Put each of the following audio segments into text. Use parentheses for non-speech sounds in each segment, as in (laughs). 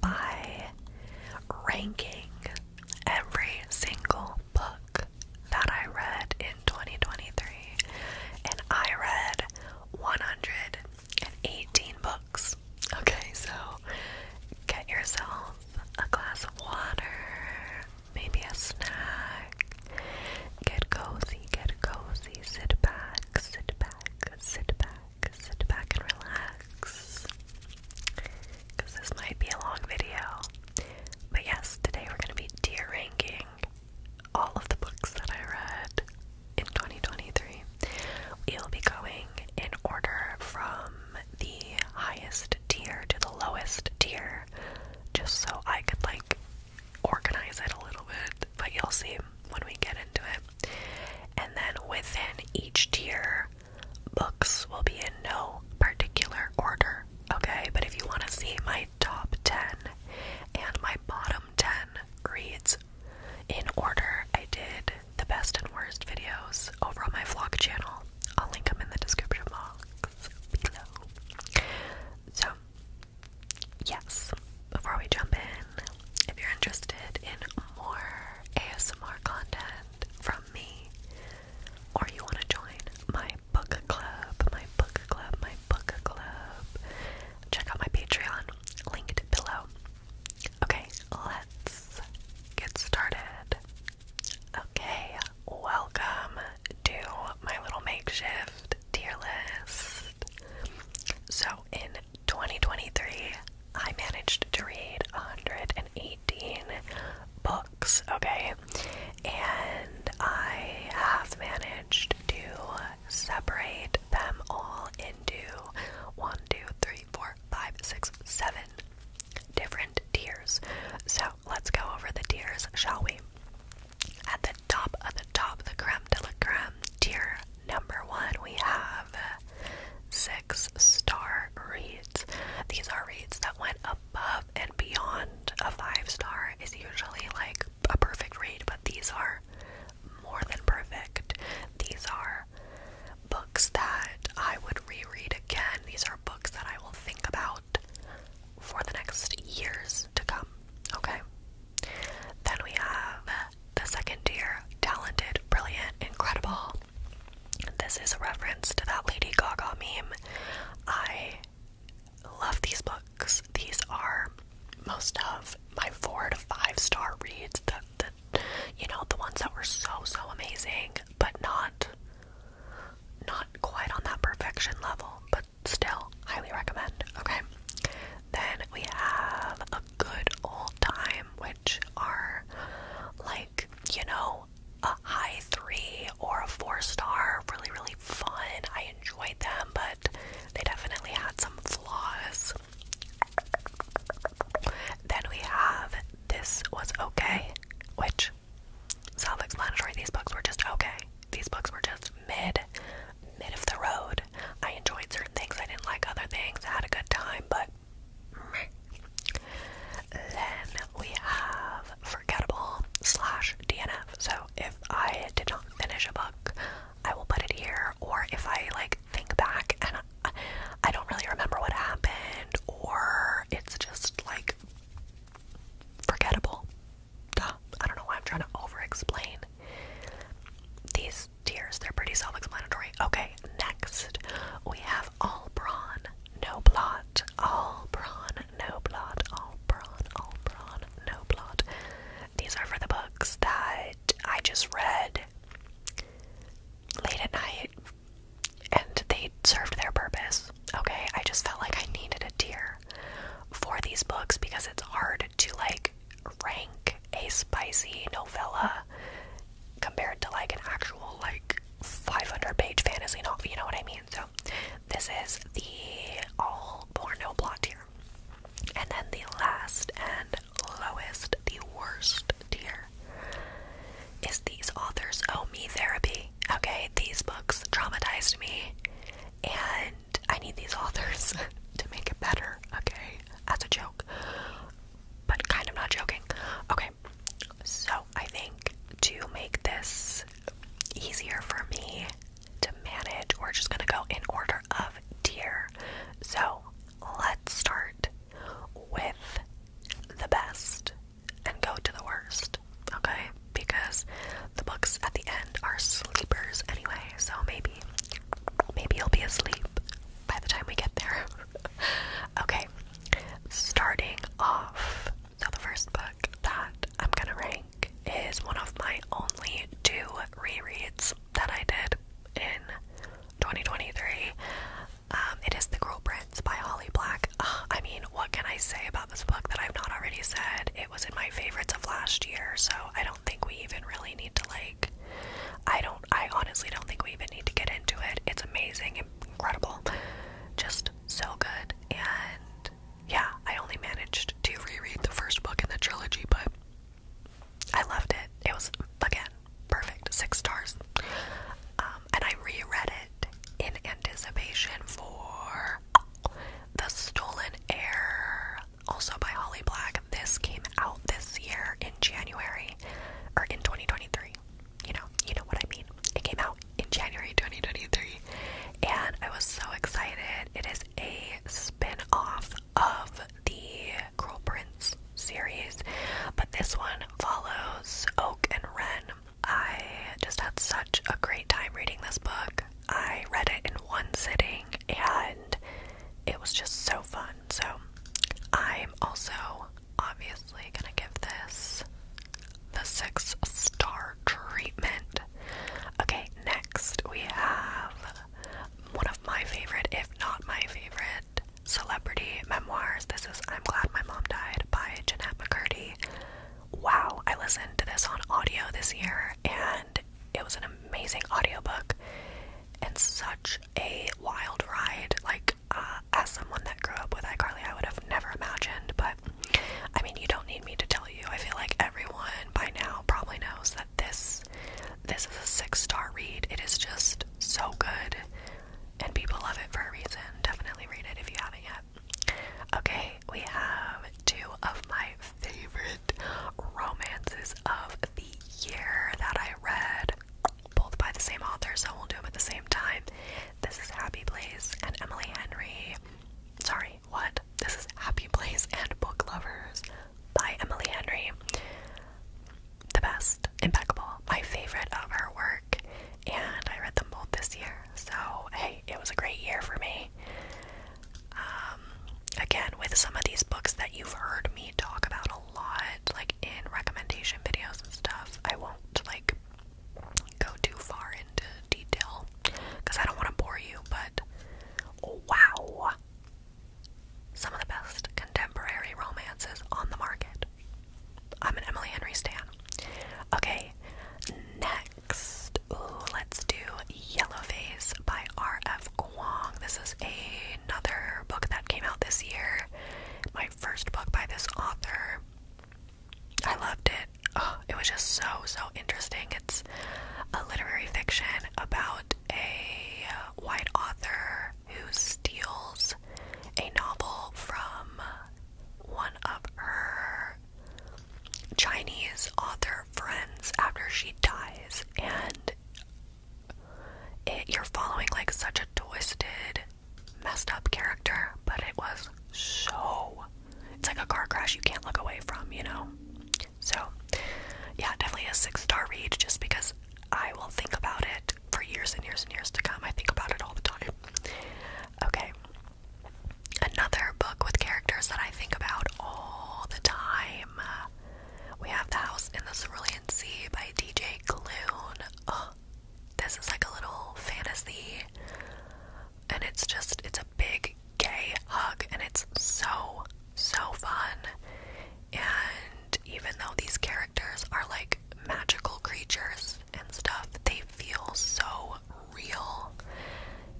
by ranking every single book that I read in 2023, and I read 118 books. Okay, so get yourself a glass of water, maybe a snack. Get cozy, get cozy, sit back, sit back, sit back sit back and relax because this might be a long video. But yes, today we're going to be tier ranking all of the books that I read in 2023. We'll be going in order from the highest tier to the lowest tier just so I could like organize it a little bit, but you'll see when we get into it. And then within each tier, Books will be in no particular order, okay? But if you want to see my top 10 and my bottom 10 reads in order, I did the best and worst videos over on my vlog channel. I'll link them in the description box below. So, yes, before we jump in, if you're interested in more ASMR content, from me, or you want to join my book club, my book club, my book club, check out my Patreon linked below. Okay, let's get started. Okay, welcome to my little makeshift tier list. So, in 2023, I managed to read 118 books, okay? And I have managed to separate them all into one, two, three, four, five, six, seven different tiers. So let's go over the tiers, shall we? At the top of the top, the gram de la creme tier number one, we have six star reads. These are reads that went above and beyond a five star, is usually like a perfect read, but these are more than perfect. These are books that I would reread again. These are books that I will think about for the next years to come. Okay? Then we have the second tier talented, brilliant, incredible. This is a reference to that Lady Gaga meme. I love these books. These are most of my four to five star reads. The, you know the ones that were so so amazing, but not not quite on that perfection level, but still highly recommend. Okay. Then we have good old time, which are like, you know, a high three or a four star, really, really fun. I enjoyed them, but they definitely had some flaws. Then we have This Was Okay, which self explanatory. These books were just okay. These books were just mid, mid of the road. I enjoyed certain things, I didn't like other things, I had a good time, but then we have Forgettable slash DNF. So if I did not finish a book, I will put it here. Or if I like think back and I, don't really remember what happened, or it's just like forgettable. Duh. I don't know why I'm trying to over explain these tiers. They're pretty self explanatory. Okay, next we have all brawn, no blot. All brawn, no blot. All brawn, all brawn, no blot. These are for the books that I just read late at night and they served their purpose. Okay, I just felt like I needed a tear for these books because it's hard to like rank a spicy novella compared to like an actual like 500 page fantasy novel, you know what I mean? So this is the all porno plot tier. And then the last and lowest, the worst tier is these authors owe oh, me therapy. Okay, these books traumatized me and I need these authors (laughs) to make it better, okay? That's a joke. But kind of not joking. Okay, so, I think to make this easier for me to manage, we're just gonna go in order of tier. So, let's start with the best and go to the worst, okay? Because the books at the end are sleepers anyway, so maybe maybe you'll be asleep by the time we get there. (laughs) Okay, starting off, so the first book that I'm gonna rank is one of my only two rereads that I did in 2023. Um, it is The Girl Prince by Holly Black. I mean, what can I say about this book that I've not already said? It was in my favorites of last year, so I don't think we even really need to like I don't, I honestly don't think we even need to get into it. It's amazing, incredible, just so good. And yeah, I only managed to reread the first book in the trilogy, but I loved it. It was, again, perfect. Six stars. Um, and I reread it in anticipation for The Stolen Air, also by Holly Black. This came out this year in January, or in 2023 you know, you know what I mean. It came out in January 2023, and I was so excited. It is a spin-off of the Crow Prince series, but this one follows Oak and Ren. I just had such a great time reading this book. I read it in one sitting and it was just so fun. So, I'm also obviously gonna give this the six star treatment. Okay, next we have one of my favorite, if not my favorite, celebrity memoirs. This is I'm Glad My Mom Died by Jeanette McCurdy. Wow, I listened to this on audio this year and it was an amazing audiobook and such a wild ride. Like, uh, as someone that grew up with iCarly, I would have never imagined. But I mean, you don't need me to tell you. I feel like everyone by now probably knows that this this is a six star read. It is just so good, and people love it for a reason. Definitely read it if you haven't yet. Okay, we have two of my favorite romances of the year that I read both by the same author, so we'll do them at the same time. This is Happy Place and Emily Henry. Sorry, what? This is Happy Place and Book Lovers by Emily Henry. The best, impeccable, my favorite of her work, and I read them both this year. So, hey, it was a great year for me. Um, again, with some of these books that you've heard me talk about a lot, like like in recommendation videos and stuff, I won't like go too far into detail because I don't want to bore you, but wow. Some of the best contemporary romances on the market. I'm an Emily Henry Stan. Okay, next, let's do Yellowface by R.F. Kuang. This is another book that came out this year. My first book by this author. I loved it. Oh, it was just so, so interesting. It's a literary fiction about a white author who steals a novel from one of her Chinese author friends after she dies, and you're following like such a twisted messed up character, but it was so. It's like a car crash you can't look away from, you know? So, yeah, definitely a six star read just because I will think about it for years and years and years to come. I think about it all the time. Okay. Another book with characters that I think about all the time. We have The House in the Cerulean Sea by DJ Clune this is like a little fantasy and it's just it's a big gay hug and it's so so fun and even though these characters are like magical creatures and stuff they feel so real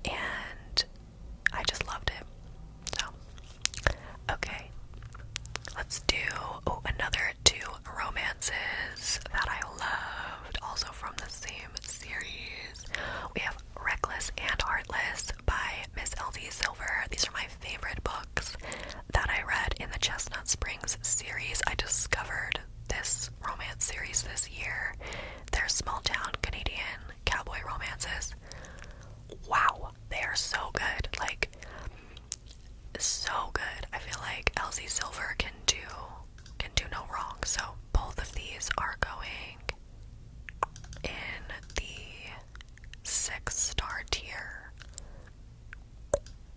and I just loved it so okay let's do oh, another two romances that I loved, also from the same series. We have Reckless and Heartless by Miss L.D. Silver. These are my favorite books that I read in the Chestnut Springs series. I discovered this romance series this year. They're small town Canadian cowboy romances. Wow, they are so good. Like, so good. I feel like Elsie Silver can do can do no wrong. So both of these are going in the six star tier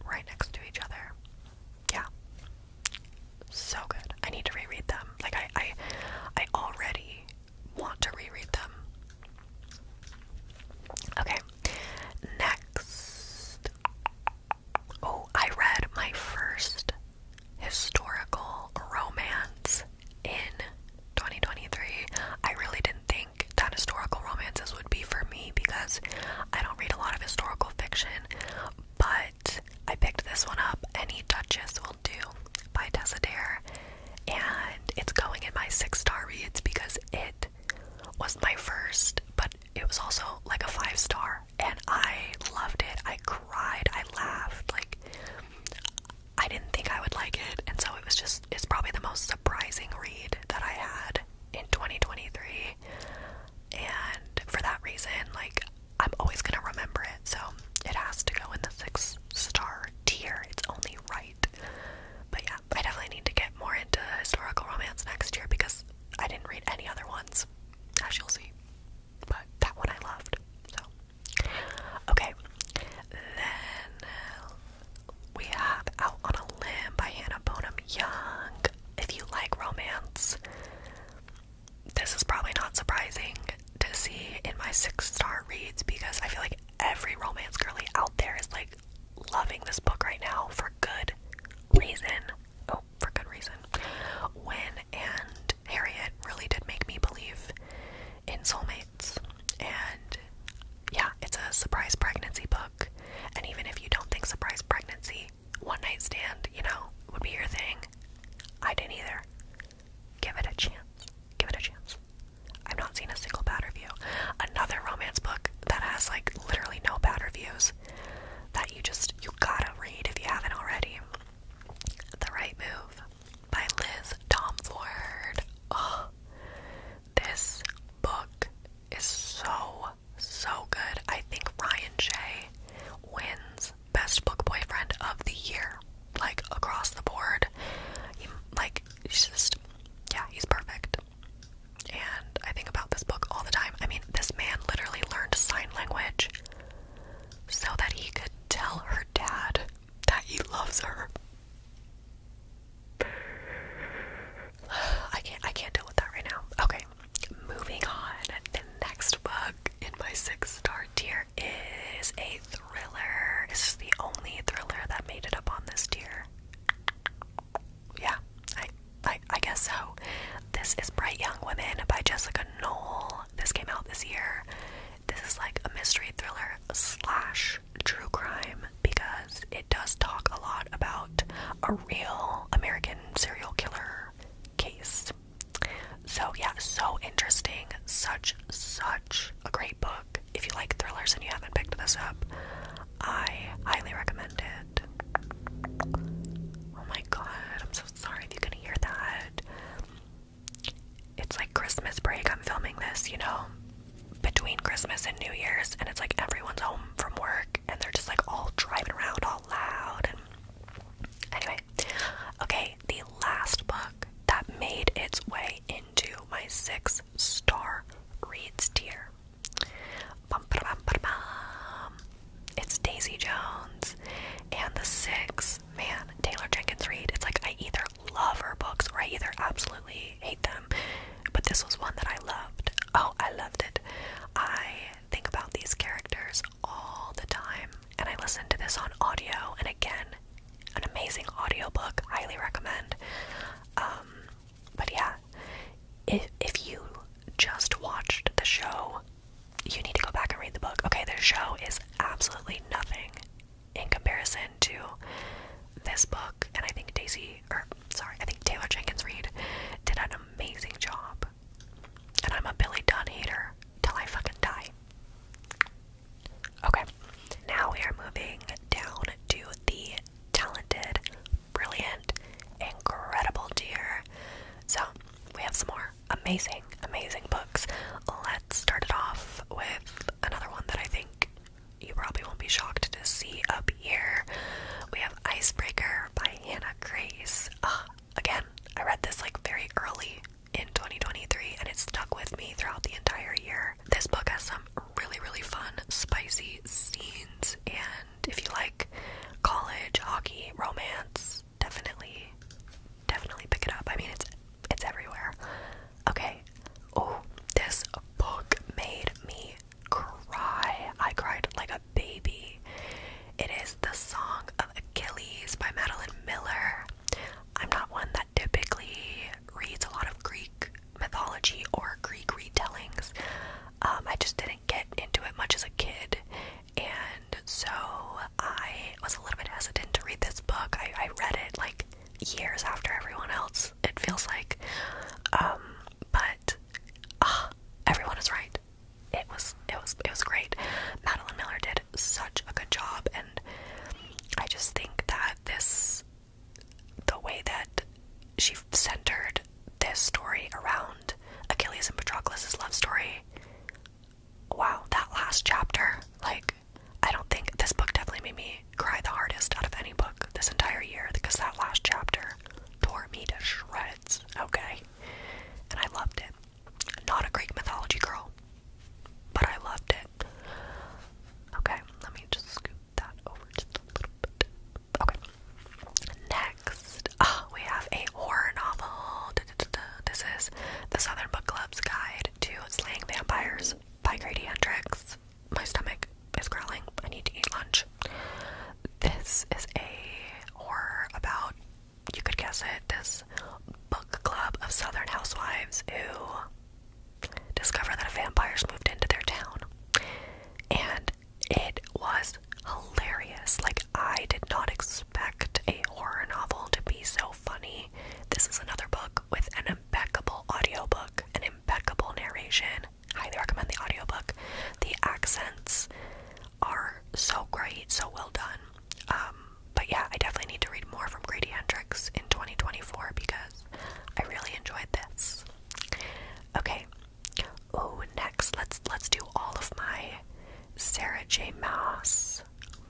right next to each other. Yeah. So good. I need to reread them. Like I I I already want to reread them. Okay. Next Oh, I read my first historical romance in 2023. I really didn't think that historical romances would be for me because I don't read a lot of historical fiction, but I picked this one up, Any Duchess Will Do by Tessa Dare, and it's going in my six star reads because it was my first, but it was also like a five star and I loved it. I cried, I laughed, like I didn't think I would like it, and so it was just it's probably the most surprising read that I had in 2023. And for that reason, like I'm always gonna remember it, so it has to go in the six star tier. It's only right. But yeah, I definitely need to get more into historical romance next year because I didn't read any other ones, as you'll see. But that one I loved. So, okay. Then we have Out on a Limb by Hannah Bonham Young. If you like romance, this is probably not surprising to see in my six star reads because I feel like every romance girly out there is like loving this book right now for good reason. Oh, for good reason. When and Harriet really did make me believe in soulmates. And yeah, it's a surprise pregnancy book. And even if you don't think surprise pregnancy, one night stand, you know, would be your thing. I didn't either. Give it a chance. Give it a chance. I've not seen a single bad review. Another romance book that has like literally no bad reviews that you just you gotta read if you haven't already. The Right Move by Liz Tomford. Oh, this book is so so good. I think Ryan Shay wins best book boyfriend of the year, like across the board. like he's just yeah, he's perfect. And I think about this book all the time. I mean, this man literally learned sign language so that he could tell her dad that he loves her. (sighs) I can't I can't deal with that right now. Okay. Moving on. The next book in my six star tier is a thriller. This is the only thriller that made it up on this tier yeah, I, I, I guess so. This is Bright Young Women by Jessica Knoll. This came out this year. This is like a mystery thriller slash true crime because it does talk a lot about a real American serial killer case. So yeah, so interesting. Such, such a great book. If you like thrillers and you haven't picked this up, I highly recommend it. Oh my god, I'm so sorry if you can hear that. It's like Christmas break. I'm filming this, you know, between Christmas and New Year's, and it's like everyone's home from work and they're just like all driving around all loud. anyway, okay, the last book that made its way into my six star reads tier it's Daisy Jones and The Six. Man, Taylor Jenkins Reid. It's like I either love her books or I either absolutely hate them. But this was one that I loved. Oh, I loved it. I think about these characters all the time, and I listen to this on audio. And again, an amazing audio book. Highly recommend. Um, but yeah, if if you just watched the show, you need to go back and read the book. Okay, the show is absolutely nothing in comparison to this book, and I think Daisy or sorry, I think Taylor Jenkins Reid did an amazing job. And I'm a Billy Dunn hater till I fucking die. Okay, now we are moving down to the talented brilliant, incredible dear. So, we have some more amazing, amazing books. Let's start it off with another one that I think you probably won't be shocked to see up here. We have Icebreaker by Hannah Grace. Ah, again, I read this like very early in 2023 and it stuck with me throughout the entire year. This book has some really, really fun, spicy scenes and if you like college, hockey, romance, definitely, definitely pick it up. I mean, it's it's everywhere. Okay. Oh, this book made me cry. I cried like a baby. It is The Song of Achilles by Madeline Miller. I'm not one that typically reads a lot of Greek mythology or Greek retellings. Um, I just didn't get into it much as a kid, and so I was a little bit hesitant to read this book. I, read it like years after everyone else, it feels like. Um, but ah, everyone is right. It was it was it was great. Madeline Miller did such a good job, and I just think that this, the way that she centered this story around Achilles and Patroclus' love story. Wow, that last chapter, like, I don't think this book definitely made me cry the hardest out of any book this entire year because that last chapter tore me to shreds, okay? And I loved it. Not a Greek mythology girl, but I loved it. Okay, let me just Okay. Next, oh, we have a horror novel. This is The Southern Book Club's Guide to Slaying Vampires by Grady Hendrix. My stomach is growling. I need to eat lunch. This is a horror about, you could guess it, this book club of Southern housewives who discover that a vampire's moved into their town. And it was hilarious. Like, I did not expect a horror novel to be so funny. This is another book with an impeccable audiobook, an impeccable narration. Highly recommend the audiobook. The accents are so great, so well done. Um, but yeah, I definitely need to read more from Grady Hendrix in 2024 because I really enjoyed this. Okay, Oh, next let's let's do all of my Sarah J. Maas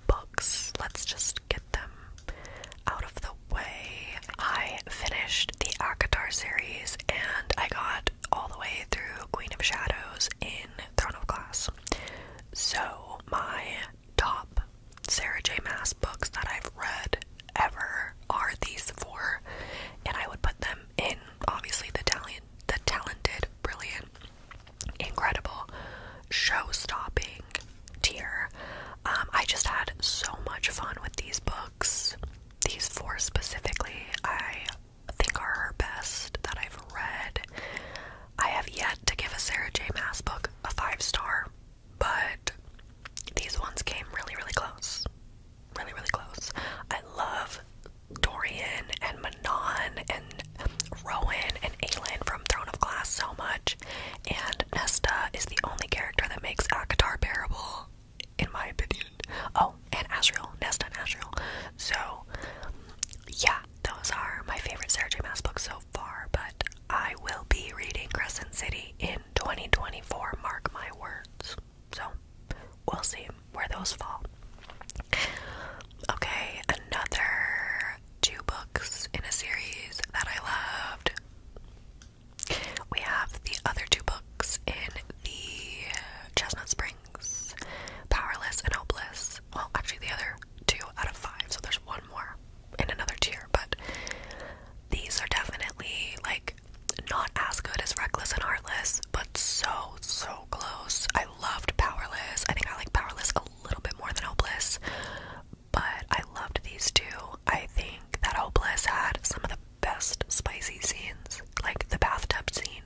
books. Let's just get them out of the way. I finished the Akatar series and I got all the way through Queen of Shadows in Throne of Glass. So my top Sarah J. Maas books that I've read ever are these four, and I would put them in obviously the talent, the talented, brilliant, incredible, show-stopping tier. Um, I just had so much fun with these books. These four specifically, I think are her best that I've read. I have yet to give a Sarah J. Mass book a five star, but these ones came really, really close really, really close. I love Dorian and Manon and Rowan and Aelin from Throne of Glass so much, and Nesta is the only character that makes Akatar bearable, in my opinion. Oh, and Asriel, Nesta and Asriel. So, yeah, those are my favorite Sarah Mass Maas books so far, but I will be reading Crescent City in 2024, mark my words. So we'll see where those fall. Okay, another two books in a series that I loved. We have the other two books in the Chestnut Springs Powerless and Hopeless. Well, actually, the other two out of five, so there's one more in another tier, but these are definitely like not as good as Reckless and Heartless, but so so close. I loved Powerless. I think I like Powerless a little bit more than Hopeless, but I loved these two. I think that Hopeless had some of the best spicy scenes, like the bathtub scene.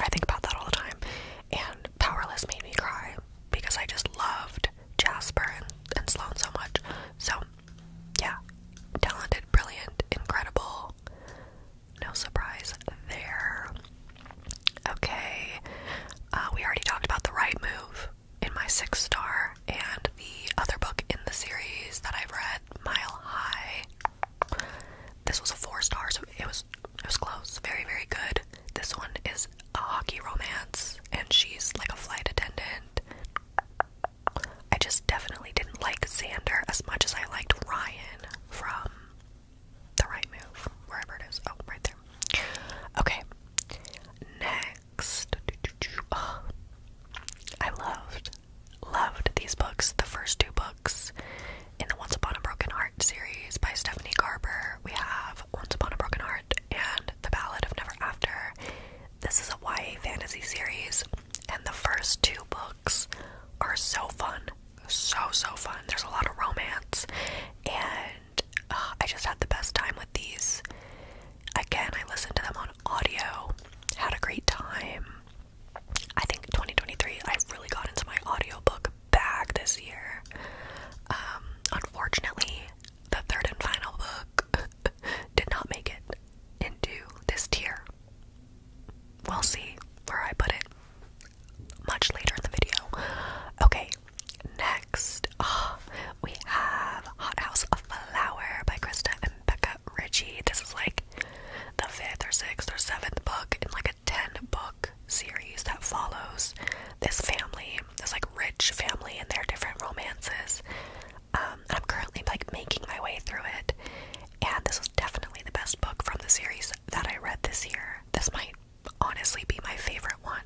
I think about that all the time. And Powerless made me cry because I just loved Jasper and, and Sloan so much. So yeah, talented, brilliant, incredible. No surprise there. Okay, uh, we already talked about the right move in my six star, and the other book in the series that I've read, Mile High. This was a four star, so it was it was close, very very good. This one is a hockey romance, and she's like a flight attendant. I just definitely didn't like Xander as much as I liked Ryan from The Right Move, wherever it is. Oh, right there. Okay. Next. (gasps) I loved, loved these books. The first two books in the Once Upon a Broken Heart series by Stephanie Garber. We have Once Upon a Broken Heart and the Ballad of Never After. This is a YA fantasy series, and the first two books are so fun. So, so fun. There's a lot of romance, and uh, I just had the best time with these. Again, I listened to them on audio, had a great time. I think 2023, i really got into my audiobook bag this year. Um, unfortunately, the third and final book (laughs) did not make it into this tier. We'll see where I put it much later in the video. Okay, next ah, we have Hot House of Flower by Krista and Becca Richie. This is like the fifth or sixth or seventh book in like a 10 book series that follows this family, this like rich family and their different romances. Um, I'm currently like making my way through it, and this was definitely the best book from the series that I read this year. This might honestly be my favorite one.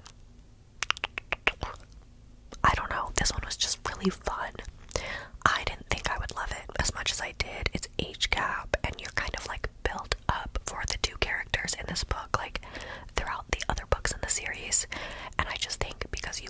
I don't know. This one was just really fun. I didn't think I would love it as much as I did. It's H gap, and you're kind of like built up for the two characters in this book, like throughout the other books in the series. And I just think because you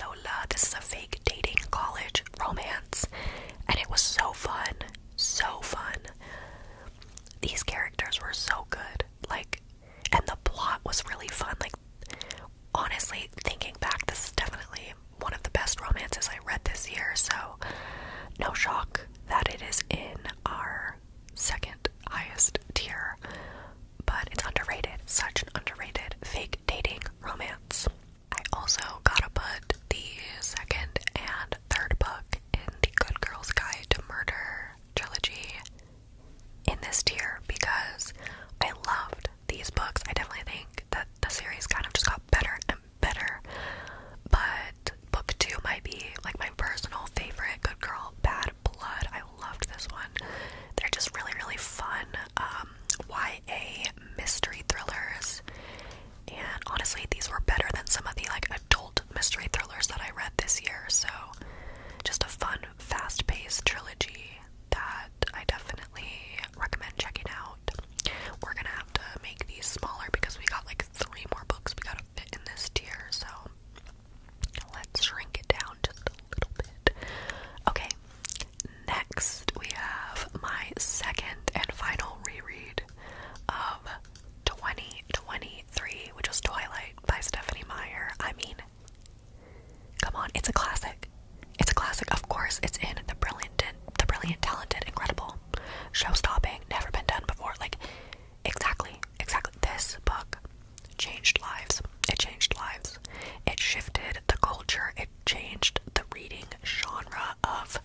Lola. This is a fake dating college romance, and it was so fun. So fun. These characters were so good. Like, and the plot was really fun. Like, honestly, thinking back, this is definitely one of the best romances I read this year, so no shock that it is in our second highest tier. But it's underrated, such an underrated fake dating romance. I also gotta put the second and third book in the Good Girls Guide to Murder trilogy in this tier because I loved these books. I definitely think that the series kind of just got better and better. But book two might be like my personal favorite Good Girl Bad Blood. I loved this one. They're just really, really fun um, YA mystery thrillers, and honestly, these were better than some of the like adult mystery thrillers that I read this year. So, just a fun, fast-paced trilogy that I definitely recommend checking out. We're gonna have to make these smaller because we got like three more books we gotta fit in this tier. So. Let's shrink it down just a little bit. Okay, Next, we have my second and final reread of 2023, which was Twilight by Stephanie Meyer. I mean, come on, it's a classic. It's a classic, of course. It's in the brilliant, the brilliant, talented, incredible, show-stopping, never been done before. Like, exactly, exactly. This book changed lives. It changed lives. It shifted the culture. It changed the reading genre of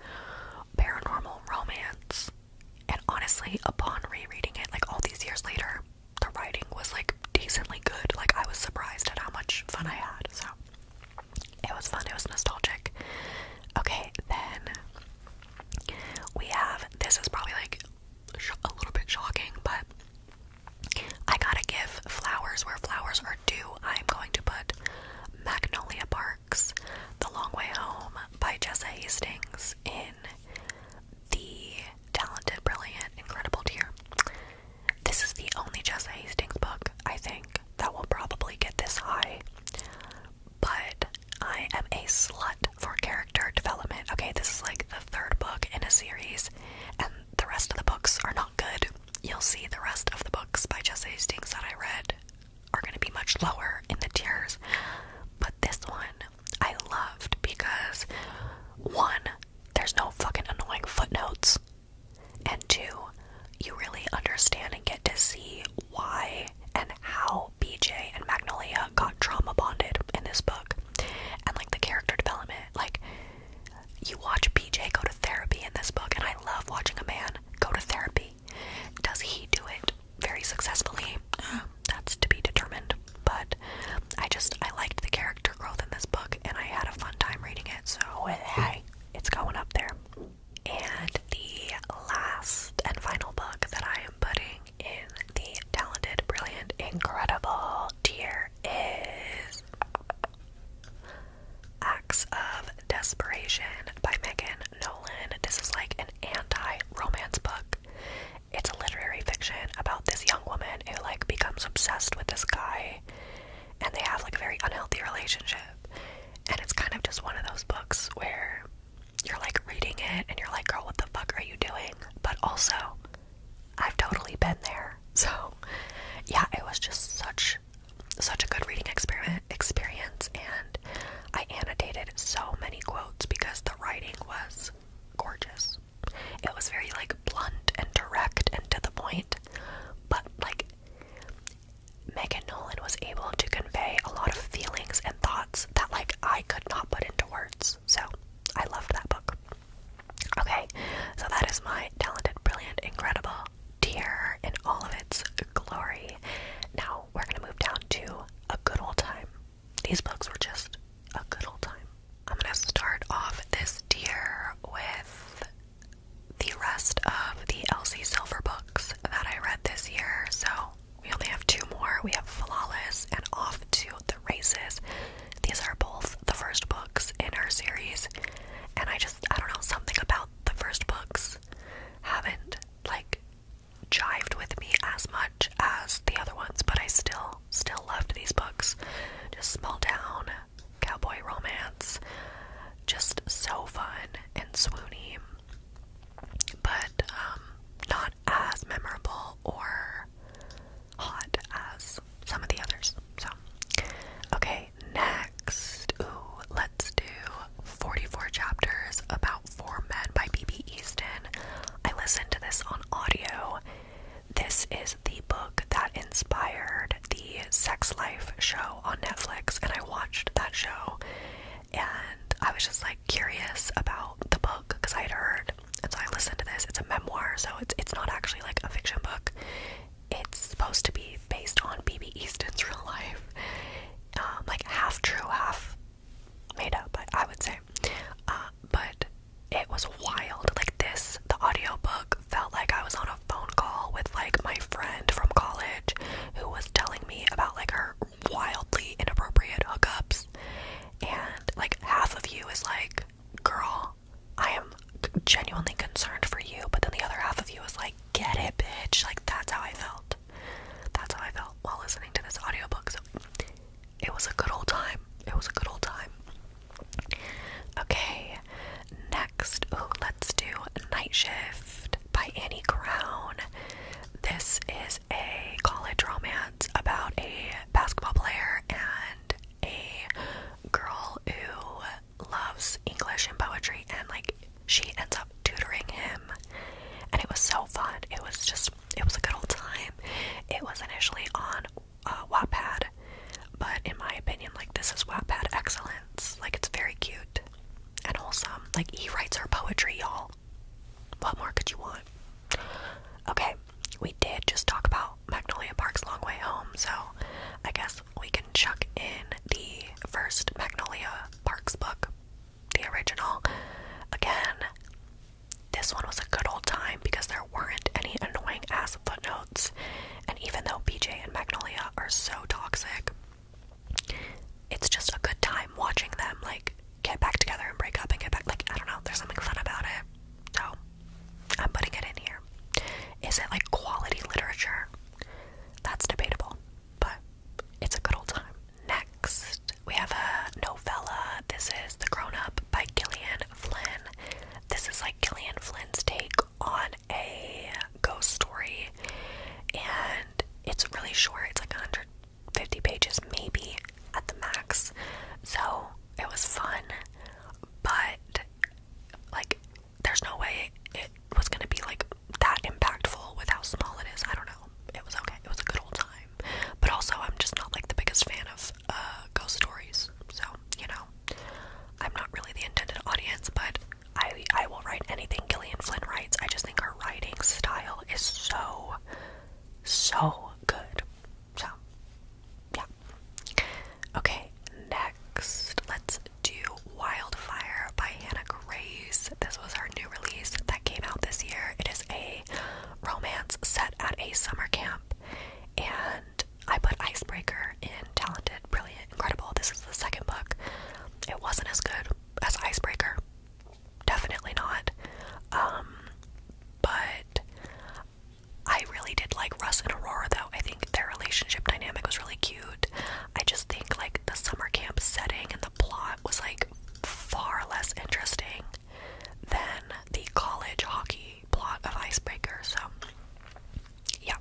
paranormal romance. And honestly, upon rereading it, like all these years later, the writing was like decently good. Like, I was surprised at how much fun I had. So, it was fun, it was nostalgic. Okay, then we have this is probably like a little bit shocking, but I gotta give flowers where flowers are due. I'm going to put Magnolia Parks, The Long Way Home by Jessa Hastings in the talented, brilliant, incredible tier. This is the only Jessa Hastings book, I think, that will probably get this high. But I am a slut for character development. Okay, this is like the third book in a series, and the rest of the books are not good. You'll see the rest of the books by Jess Hastings that I read are going to be much lower in the tiers. But this one I loved because one, there's no fucking annoying footnotes, and two, you really understand and get to see why and how BJ and Magnolia got trauma bonded in this book and like the character development. Like, you watch PJ go to therapy in this book, and I love watching a man go to therapy. Does he do it very successfully? Um, that's to be determined. But I just I liked the character growth in this book, and I had a fun time reading it. So hey, it's going up there. And the last and final book that I am putting in the talented, brilliant, incredible tier is Acts of Desperation by Megan Nolan. This is like an anti-romance book. It's a literary fiction about this young woman who like becomes obsessed with this guy and they have like a very unhealthy relationship. And it's kind of just one of those books where you're like reading it and you're like, girl, what the fuck are you doing? But also, I've totally been there. (laughs) So, yeah, it was just such such a good reading experiment experience and I annotated so many quotes because the writing was gorgeous. It was very like blunt and direct and to the point, but like Megan Nolan was able to convey a lot of feelings and thoughts that like I could not put into words. So, I loved that book. Okay. So that is my talented, brilliant, incredible deer in all of its glory. Now we're gonna move down to a good old time. These books were just a good old time. I'm gonna start off this deer with the rest of the Elsie Silver books that I read this year. So we only have two more. We have Flawless and Off to the Races. These are both the first books in our series, and I just I don't know something about the first books haven't like jived with me as much as the other ones, but I still still loved these books. Just small town cowboy romance, just so fun and swoony, but um, not as memorable or hot as some of the others. So, okay, next, let's do 44 chapters about four men by B.B. Easton. I listened to this on audio. This is the book that inspired the Sex Life show on Netflix, and I watched that show, and I was just like curious about the book because I had heard, and so I listened to this. It's a memoir, so it's it's not actually like a fiction book it's supposed to be based on BB Easton's real life, um, like half true, half made up. I, I would say, uh, but it was wild. Like this, the audio book felt like I was on a phone call with like my friend from college, who was telling me about like her wildly inappropriate hookups, and like half of you is like, "Girl, I am genuinely concerned for you, but then the other half of you is like, get it, bitch. Like, that's how I felt. That's how I felt while listening to this audiobook. So, it was a good old time. It was a good old time. Okay, next, ooh, let's do Night Shift by Annie Crown. This is a college romance about a basketball player and a girl who loves English and poetry, and like she ends up tutoring him. And it was so fun. It was just, it was a good old time. It was initially on uh, Wattpad, but in my opinion, like this is Wattpad excellence. Like it's very cute and wholesome. Like he writes her poetry, y'all. What more could you want? Okay, we did just talk about Magnolia Park's Long Way Home, so I guess we can chuck in the first Magnolia Parks book, the original. Again, this one was a good old time because there weren't any annoying ass footnotes. And even though BJ and Magnolia are so toxic, it's just a good time watching them like get back together and break up and get back. Like, I don't know, there's something fun about it. So, I'm putting it in here. Is it like quality literature? That's debatable, but it's a good old time. Next, we have a novella. This is The Grown Up by Gillian Flynn. This is like Gillian Flynn's take on a ghost story, and it's really short. It's like 150 pages, maybe at the max. So it was fun, but like there's no way it was gonna be like that impactful with how small it is. I don't know. It was okay. It was a good old time. But also, I'm just not like the biggest fan of uh, ghost stories. So you know, I'm not really the intended audience. But I I will write anything Gillian Flynn writes. I just think her writing style is so so good. So yeah. Okay, next let's to Wildfire by Hannah Grace. This was her new release that came out this year. It is a romance set at a summer camp, and I put Icebreaker in Talented, Brilliant, Incredible. This is the second book. It wasn't as good as Icebreaker, definitely not. Um, but I really did like Russ and Aurora, though. I think their relationship dynamic was really cute. I just think like the summer camp setting and the plot was like far less interesting than the college hockey plot of Icebreaker. So, yeah.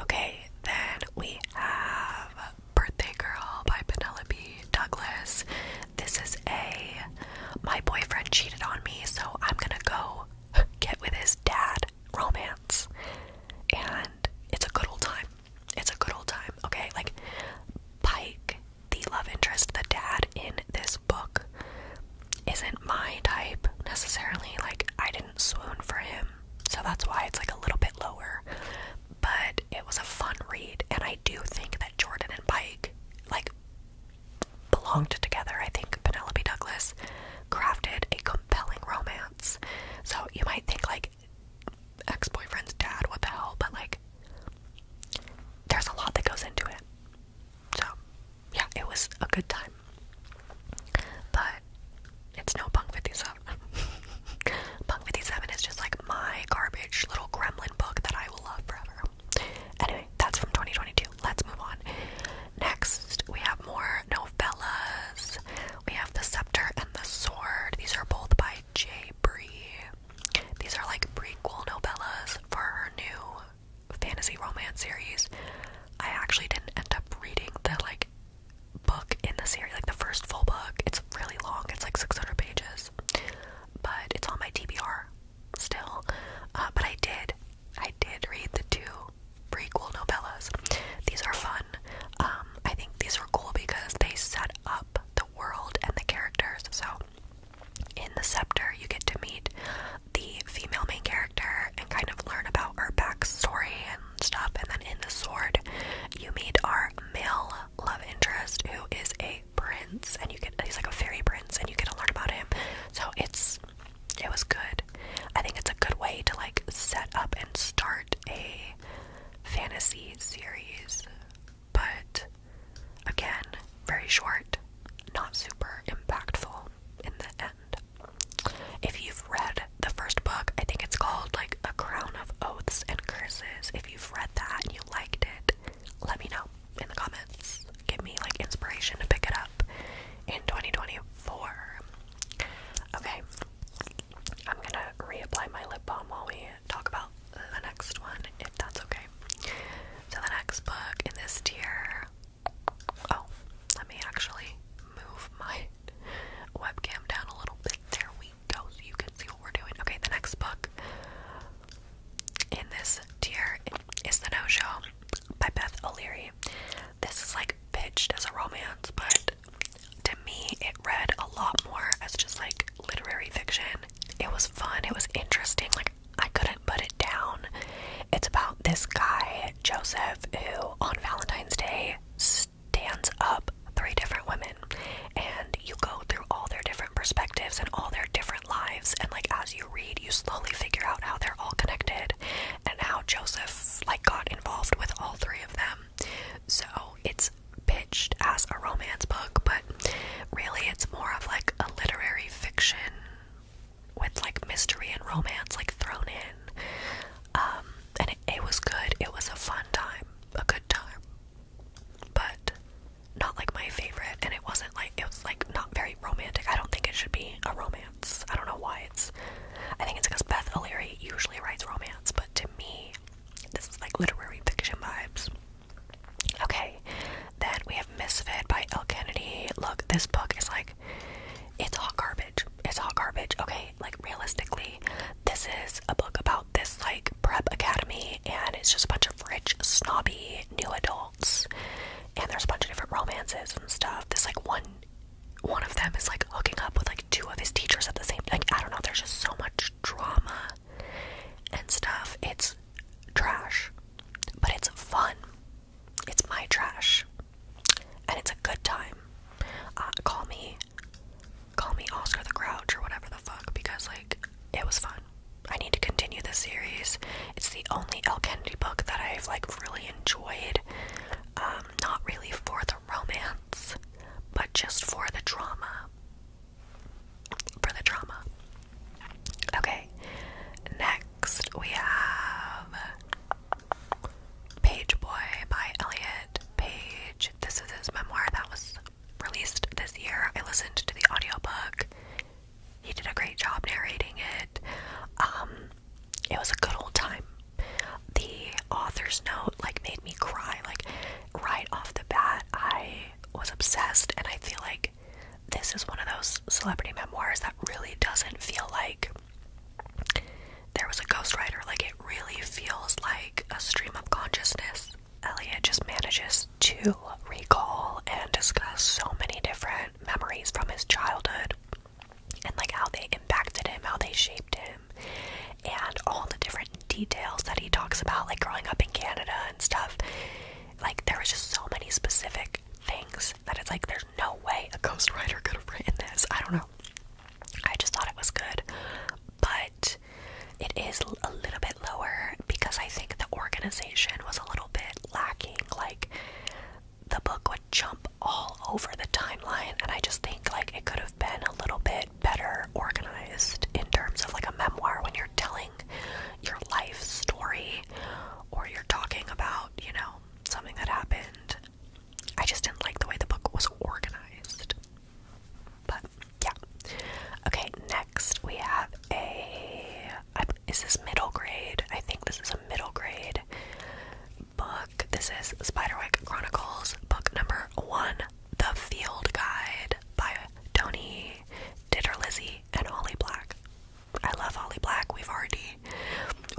Okay, then we have Birthday Girl by Penelope Douglas. This is a my boyfriend cheated on me, so I'm gonna go (laughs) get with his dad romance. And it's a good old time. It's a good old time, okay? Like, Pike, the love interest, the dad in this book, isn't my type necessarily. Like, I didn't swoon for him, so that's why it's like a little bit lower. But it was a fun read, and I do think that Jordan and Pike, like, belonged together. I think Penelope Douglas crafted a compelling romance. So you might think like ex boyfriend's dad, what the hell? But like, there's a lot that goes into it. So yeah, it was a good time. But it's no Punk 57. (laughs) Punk 57 is just like my garbage little gremlin book that I will love forever. Anyway, that's from 2022. Let's move on. Next, we have more novellas. We have The Scepter and the Sword. These are both by J. Bree. These are like prequel novellas for her new fantasy romance series. I actually didn't end up reading the like book in the series, like the first full book. It's really long, it's like 600 pages, but it's on my TBR still. Uh, but I did, I did read the two pretty cool novellas. These are fun. Um, I think these are cool because they set up the world and the characters. So, in The Scepter, you get to meet the female main character and kind of learn about her backstory and stuff. And then in The Sword, you meet our male love interest who is a prince, and you get he's like a fairy prince, and you get to learn about him. So, it's it was good. I think it's a good way to like set up and start a fantasy series, but again, very short, not super impactful in the end. If you've read the first book, I think it's called like A Crown of Oaths and Curses. If you've read that and you liked it, let me know in the comments. Give me like inspiration to pick it up in 2024. Okay, I'm gonna reapply my lip balm while we talk about the next one, if that's okay. So, the next book in this tier. Oh, let me actually move my (laughs) webcam down a little bit. There we go, so you can see what we're doing. Okay, the next book in this tier is The No Show by Beth O'Leary. This is like pitched as a romance, but to me, it read a lot more as just like literary fiction. It was fun, it was interesting, like I couldn't put it down. It's about this guy, Joseph, who on Valentine's Day stands up three different women, and you go through all their different perspectives and all their different lives. And like as you read, you slowly figure out how they're all connected and how Joseph like got involved with all three of them. So it's pitched as a romance book, but really it's more of like a literary fiction with like mystery and romance like thrown in. Um and it, it was good. It was a fun time, a good time. But not like my favorite and it wasn't like it was like not very romantic. I don't think it should be a romance I don't know why it's. I think it's because Beth O'Leary usually writes romance, but to me, this is like literary fiction vibes. Okay, then we have Misfit by El Kennedy. Look, this book is like. It's all garbage. It's all garbage. Okay, like realistically, this is a book about this like prep academy, and it's just a bunch of rich, snobby new adults, and there's a bunch of different romances and stuff. This like one one of them is like hooking up with like two of his teachers at the same like I don't know, there's just so much drama and stuff. It's trash. But it's fun. It's my trash. And it's a good time. Uh, call me call me Oscar the Grouch or whatever the fuck because like it was fun. I need to continue this series. It's the only El Kennedy book that I've like really enjoyed. Um, um, not really for the romance, but just for the drama. For the drama. Okay, next we have Page Boy by Elliot Page. This is his memoir that was released this year. I listened to the audio book. He did a great job narrating it. Um, it was a good old time. The author's note like made me cry. Like right off the bat, I was obsessed, and I feel like this is one of those celebrity memoirs that really doesn't feel like there was a ghostwriter. Like it really feels like a stream of consciousness. Elliot just manages to recall and discuss so many different memories from his childhood and like how they impacted him, how they shaped him, and all the different details that he talks about, like growing up in Canada and stuff. Like, there was just so many specific things that it's like there's no way a ghostwriter could have written this. I don't know. I just thought it was good, but it is a little bit lower because I think the organization was a little bit lacking. Like, the book would jump all over the timeline and I just think like it could have been a little bit better organized in terms of like a memoir when you're telling your life story or you're talking about, you know, something that happened. I just didn't like the way the book was organized. But yeah. Okay, next we have a is this middle grade? I think this is a middle grade book. This is Spiderwick Chronicles, book number one, The Field Guide by Tony Ditterlizzi and Holly Black. I love Holly Black. We've already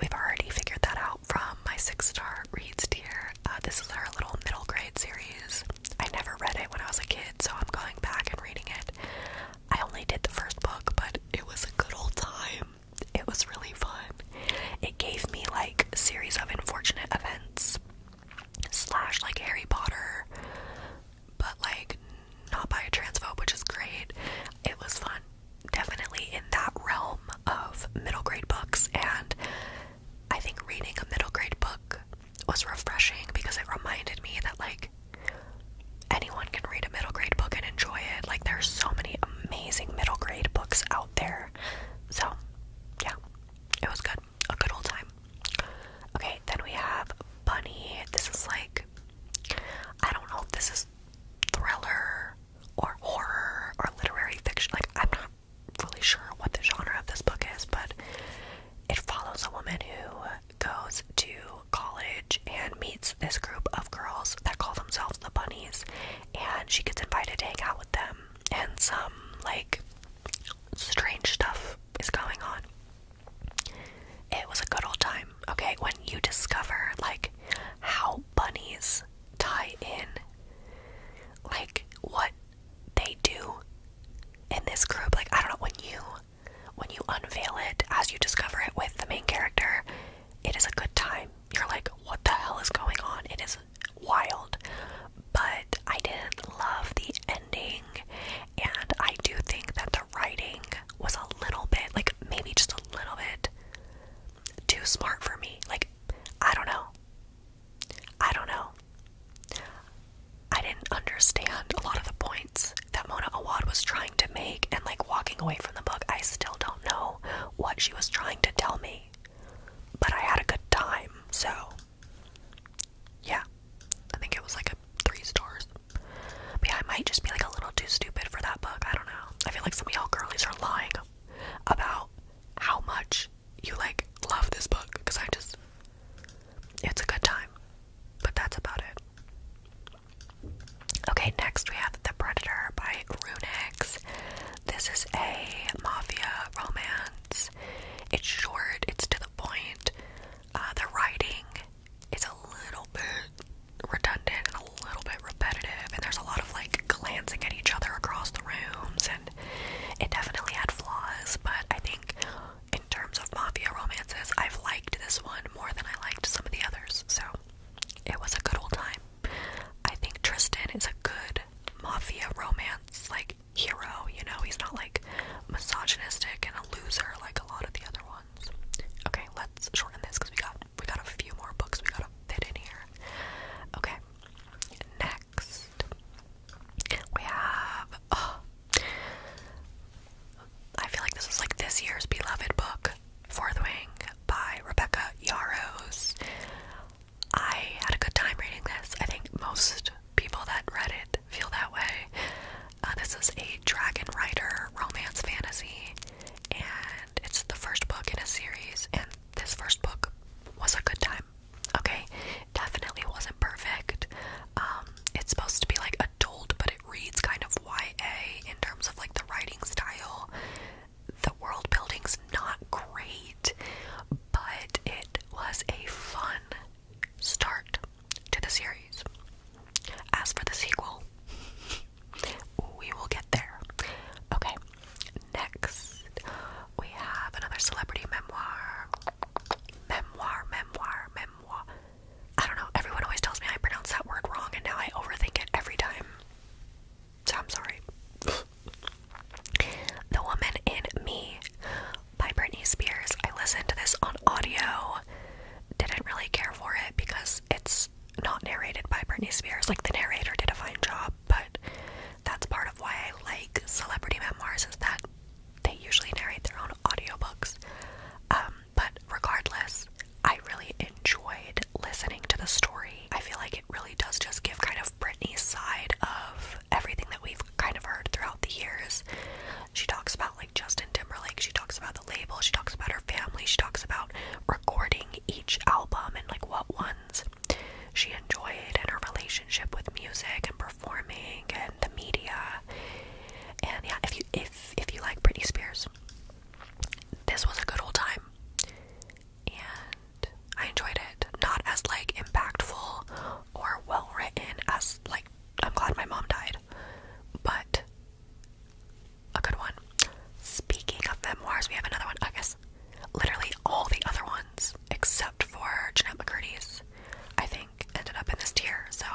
we've already figured that out from my six star reads tier. Uh, this is our little middle grade series. I never read it when I was a kid, so I'm going back and reading it. I only did the first book, but it was a good old time it was really fun. It gave me like a series of unfortunate events slash like Harry Potter, but like not by a transphobe, which is great. It was fun, definitely in that realm of middle grade books, and I think reading a middle grade book was refreshing because it reminded me that like anyone can read a middle grade book and enjoy it. Like there's so many amazing middle grade books out there. So, yeah, it was good. A good old time. Okay, then we have Bunny. This is like, I don't know if this is thriller or horror or literary fiction. Like, I'm not really sure what the genre of this book is, but it follows a woman who goes to college and meets this group of girls that call themselves the Bunnies, and she gets invited to hang out with them and some like strange stuff is going on. It was a good old time. Okay, when you discover like how bunnies tie in like what they do in this group, like I don't know when you when you unveil it as you discover it with the main character, it is a good time you're like, what the hell is going on? It is wild. But I didn't love the ending, and I do think that the writing was a little bit, like, maybe just a little bit too smart for me. Like, I don't know. I don't know. I didn't understand a lot of the points that Mona Awad was trying to make and like walking away from the book. I still don't know what she was trying to tell me, but I had a good time, so yeah. I think it was like a three stars. But yeah, I might just be like a little too stupid for that book. I don't know. I feel like some of y'all girlies are lying about how much you like love this book because I just it's a good time. But that's about it. Okay, next we have The Predator by Runix. This is a mafia romance. It's short, it's to the point. Uh, the writing is a little bit redundant and a little bit repetitive, and there's a lot of like glancing at each other across the rooms, and it definitely had flaws, but I think in terms of mafia romances, I've liked this one more than I liked some of the others, so it was a good old time. I think Tristan is a good mafia romance like hero, you know, he's not like misogynistic and a loser like a lot of the other ones. Okay, let's shorten this because we got we got a few more books we gotta fit in here. Okay. Next we have oh, I feel like this is like this year's beloved book. Fourth Wing by Rebecca Yarros. I had a good time reading this. I think most people that read it feel that way. Uh, this is a dragon rider romance fantasy, and it's the first book in a series, and this first book was a good time. Okay, definitely wasn't perfect. Um, it's supposed to be like adult, but it reads kind of YA in terms of like the writing style the world building's not great, but it was a fun start to the series. As for the sequel, we will get there. Okay, next we have another celebrity memoir. Memoir, memoir, memoir. I don't know, everyone always tells me I pronounce that word wrong, and now I overthink it every time. So I'm sorry. the Woman in Me by Britney Spears. I listened to this on audio. Didn't really care for it because it's not narrated by Britney Spears. Like the narrator did a fine job, but that's part of why I like celebrity memoirs is that they usually narrate their own audiobooks. Um, but regardless, I really enjoyed listening to the story I feel like it really does just give kind of Britney's side of everything that we've kind of heard throughout the years. She talks about like Justin Timberlake, she talks about the label, she talks about her family, she talks about recording each album and like what ones she enjoyed and her relationship with music and performing and the media. And yeah, if you if if you like Britney Spears, this was a good old time and I enjoyed it. Not as like impactful or well written as like I'm glad my mom died, but a good one. Speaking of memoirs, we have another one. I guess literally all the other ones except for Jeanette McCurdy's, I think, ended up in this tier. So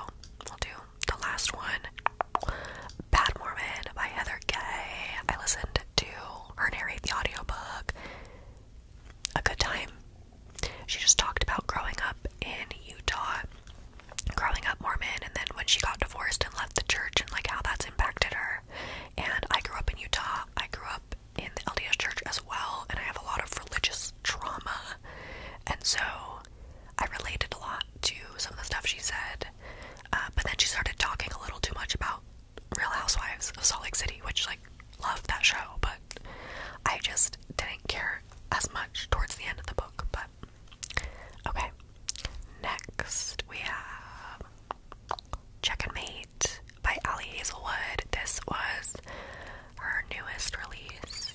we'll do the last one. Bad Mormon by Heather they I listened to her narrate the audiobook. A good time. She just talked about growing up in Utah, growing up Mormon, and then when she got divorced and left the church, and like how that's impacted her. And I grew up in Utah. I grew up in the LDS church as well, and I have a lot of religious trauma. And so I related a lot to some of the stuff she said. Uh, but then she started talking a little too much about Real Housewives of Salt Lake City, which like loved that show, but I just didn't care as much towards the end of the book. But okay, next we have Check and Mate by Allie Hazelwood. This was her newest release.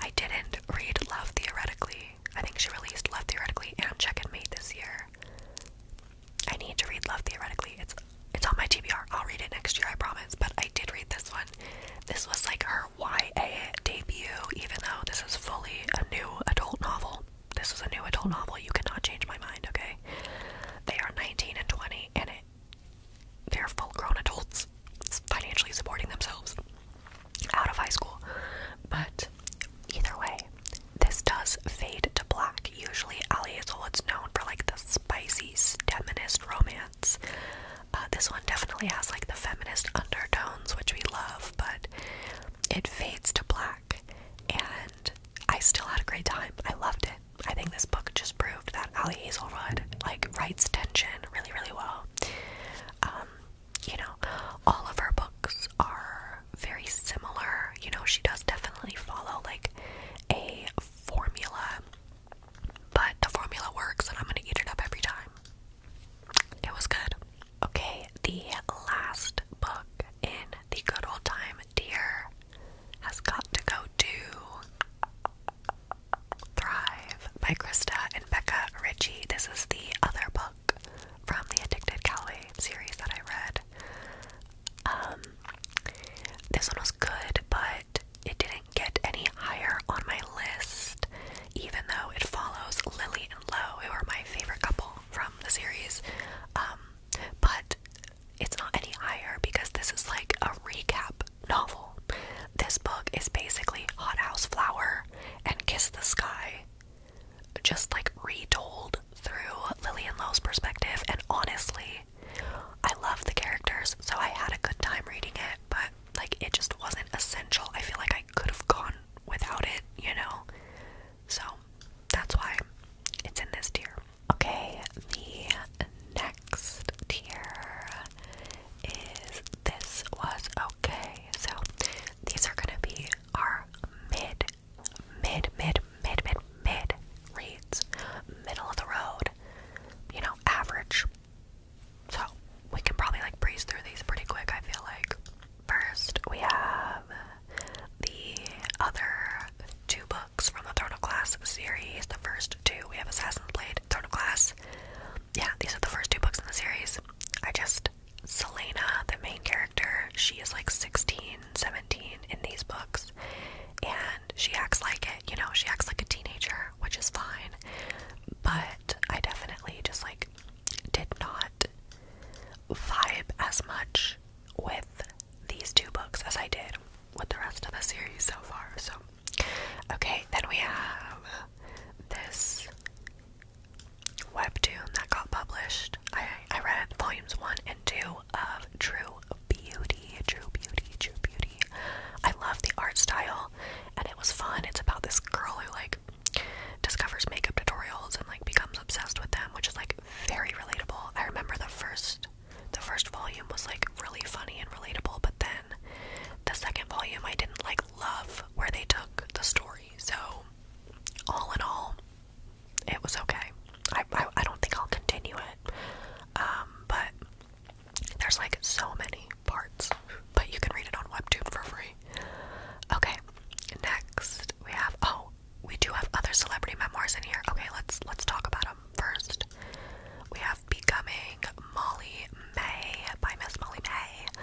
I didn't read Love Theoretically. I think she released Love Theoretically and Check and Mate this year. I need to read Love Theoretically. It's it's on my TBR. I'll read it next year, I promise. But I did read this one. This was like her YA debut, even though this is fully a new adult novel. This is a new adult novel. You cannot change my mind, okay? They are 19 and 20, and it they're full grown adults financially supporting themselves out of high school. But either way, this does fade to black. Usually, Ali Hazel is known for like the spicy feminist romance. Uh, this one definitely has like the feminist undertones, which we love, but it fades to black. And I still had a great time. I loved it. I think this book just proved that Ali Hazelwood like writes tension really, really well. Um, you know, all of her books are very similar. You know, she does definitely follow like a formula, but the formula works, and I'm gonna eat it up every time. It was good. Okay, the last book in the good old time tier has got to go to Thrive by Krista and Becca Ritchie. This is the other book from the Addicted Cali series that I read. Um, this one was good, but it didn't get any higher on my list, even though it follows Lily and Lo, who are my favorite couple from the series. Um, but it's not any higher because this is like a recap novel. This book is basically Hot House Flower and Kiss the Sky just like retold through Lillian Lowe's perspective. And honestly, I love the characters, so I had a good time reading it, but like it just wasn't essential. I feel like I could have gone without it, you know? So that's why it's in this tier. Okay, the next tier is This Was Okay. So these are gonna be our mid mid, mid, mid, mid, mid reads, middle of the road, you know, average. So we can probably like breeze through these pretty quick, I feel like. First, we have the other two books from the Throne of Glass series. The first two, we have Assassin's Blade, Throne of Glass. Yeah, these are the first two books in the series. I just, Selena, the main character, she is like 16 17 in these books and she acts like it you know she acts like a teenager which is fine but i definitely just like did not vibe as much with these two books as i did with the rest of the series so far so okay then we have this webtoon that got published I read volumes one and two of True Beauty. True Beauty, True Beauty. I love the art style and it was fun. It's about this girl who like discovers makeup tutorials and like becomes obsessed with them, which is like very relatable. I remember the first the first volume was like really funny and relatable, but then the second volume I didn't like love where they took the story. So all in all, it was okay. I, I, don't think I'll continue it. Um, but there's like so many parts, but you can read it on Webtoon for free. Okay, next we have oh we do have other celebrity memoirs in here. Okay, let's let's talk about them first. We have Becoming Molly May by Miss Molly May.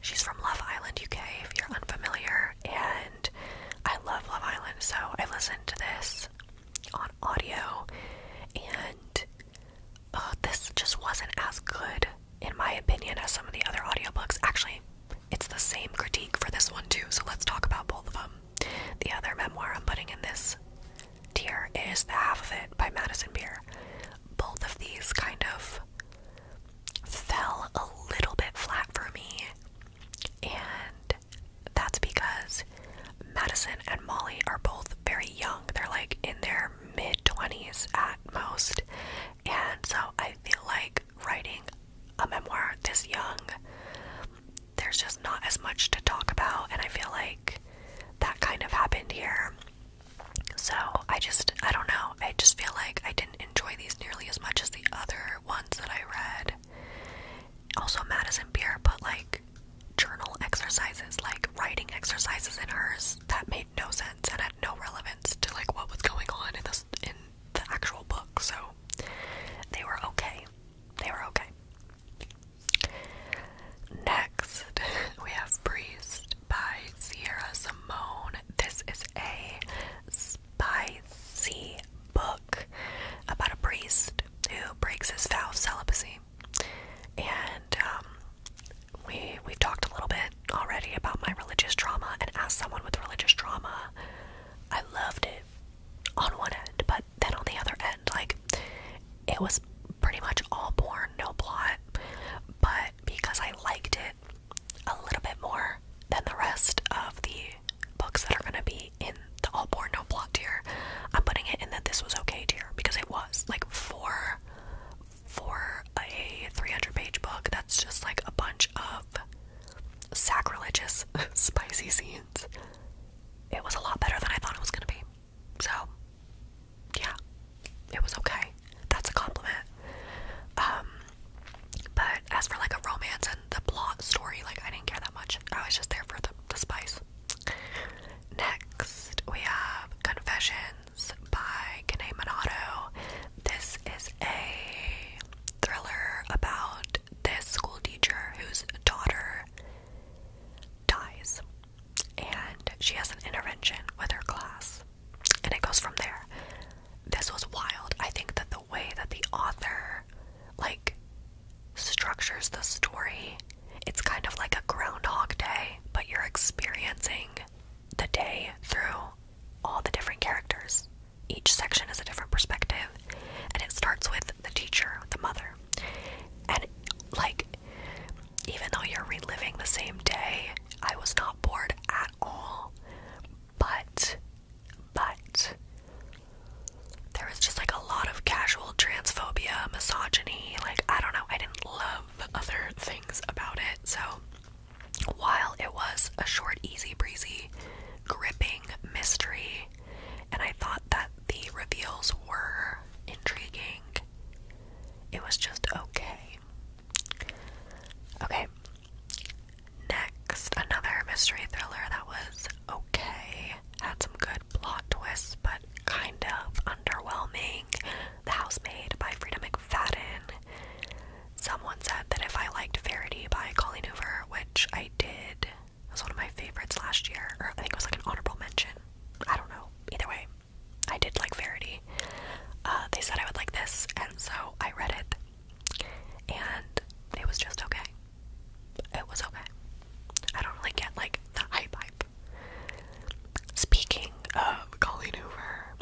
She's from Love Island UK if you're unfamiliar, and I love Love Island, so I listened to this on audio, and uh, this just wasn't as good, in my opinion, as some of the other audiobooks. Actually, it's the same critique for this one, too, so let's talk about both of them. The other memoir I'm putting in this tier is The Half of It by Madison Beer. Both of these kind of fell a little bit flat for me. And that's because Madison and Molly are both very young. They're like in their mid 20s at most. And so I feel like writing a memoir this young, there's just not as much to talk about. And I feel like that kind of happened here. So I just, I don't know. I just feel like I didn't enjoy these nearly as much as the other one that I read. Also, Madison Beer but like journal exercises, like writing exercises in hers that made no sense and had no relevance to like what was going on in the actual book. So they were okay. They were okay. Next, (laughs) we have Breeze by Sierra Simone. This is a spicy book about a priest who breaks his vow of celibacy. And um, we we've talked a little bit already about my religious trauma. And as someone with religious trauma, I loved it on one end, but then on the other end, like it was pretty much all porn, no plot. But because I liked it a little bit more than the rest of the books that are gonna be in the all born no plot tier, I'm putting it in that this was okay tier because it was like for for a 300 page book that's just like a bunch of sacrilegious (laughs) spicy scenes. It was a lot better than I thought it was gonna be. So yeah, it was okay. That's a compliment. Um but as for like a romance and the plot story, like I didn't care that much. I was just there for the, spice. Next, we have Confessions by Kane Minato. This is a thriller about this school teacher whose daughter dies, and she has an intervention with her class, and it goes from there this was wild. I think that the way that the author like structures the story, it's kind of like a groundhog day, but you're experiencing the day through all the different characters. Each section is a different perspective, and it starts with the teacher, the mother. And like even though you're reliving the same day, I was not bored at all but but there was just like a lot of casual transphobia, misogyny, like I don't know, I didn't love other things about it. So while it was a short, easy breezy, gripping mystery, and I thought that the reveals were intriguing, it was just okay. Okay, Next, another mystery thriller that was okay, had some good plot twists, but kind of underwhelming. The Housemaid by Frida McFadden. Someone said that if I liked Verity by Colleen Hoover, which I did, it was one of my favorites last year, or I think it was like an honorable mention. I don't know. Either way, I did like Verity. Uh, they said I would like this, and so I read it and it was just okay. It was okay. I don't really get like the hype hype. Speaking of Colleen Hoover,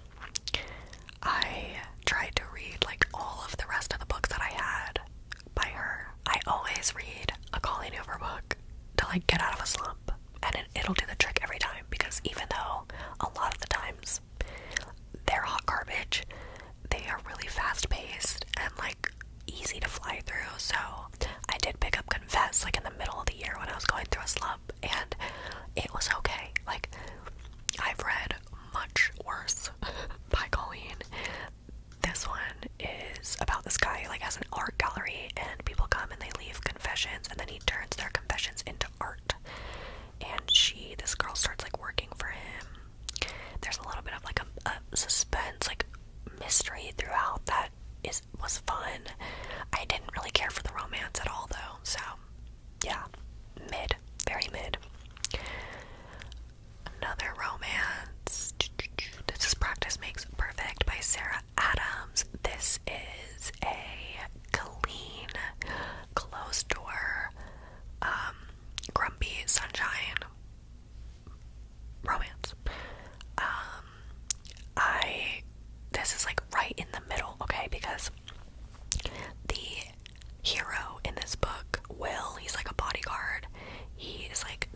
I tried to read like all of the rest of the books that I had by her. I always read a Colleen Hoover book to like get out of a slump, and it'll do the trick every time because even though a lot of the times they're hot garbage. They are really fast paced and like easy to fly through. So I did pick up Confess like in the middle of the year when I was going through a slump and it was okay. Like I've read much worse (laughs) by Colleen. This one is about this guy like has an art gallery and people come and they leave confessions and then he turns their confessions into art. And she this girl starts like working for him there's a little bit of like a, suspense, like mystery throughout that is was fun. I didn't really care for the romance at all though, so yeah, mid, very mid. Another romance. This is Practice Makes Perfect by Sarah Adams. This is a clean, closed door um, Grumpy Sunshine romance. Um, I this is like right in the middle, okay? Because the hero in this book, Will, he's like a bodyguard. He's like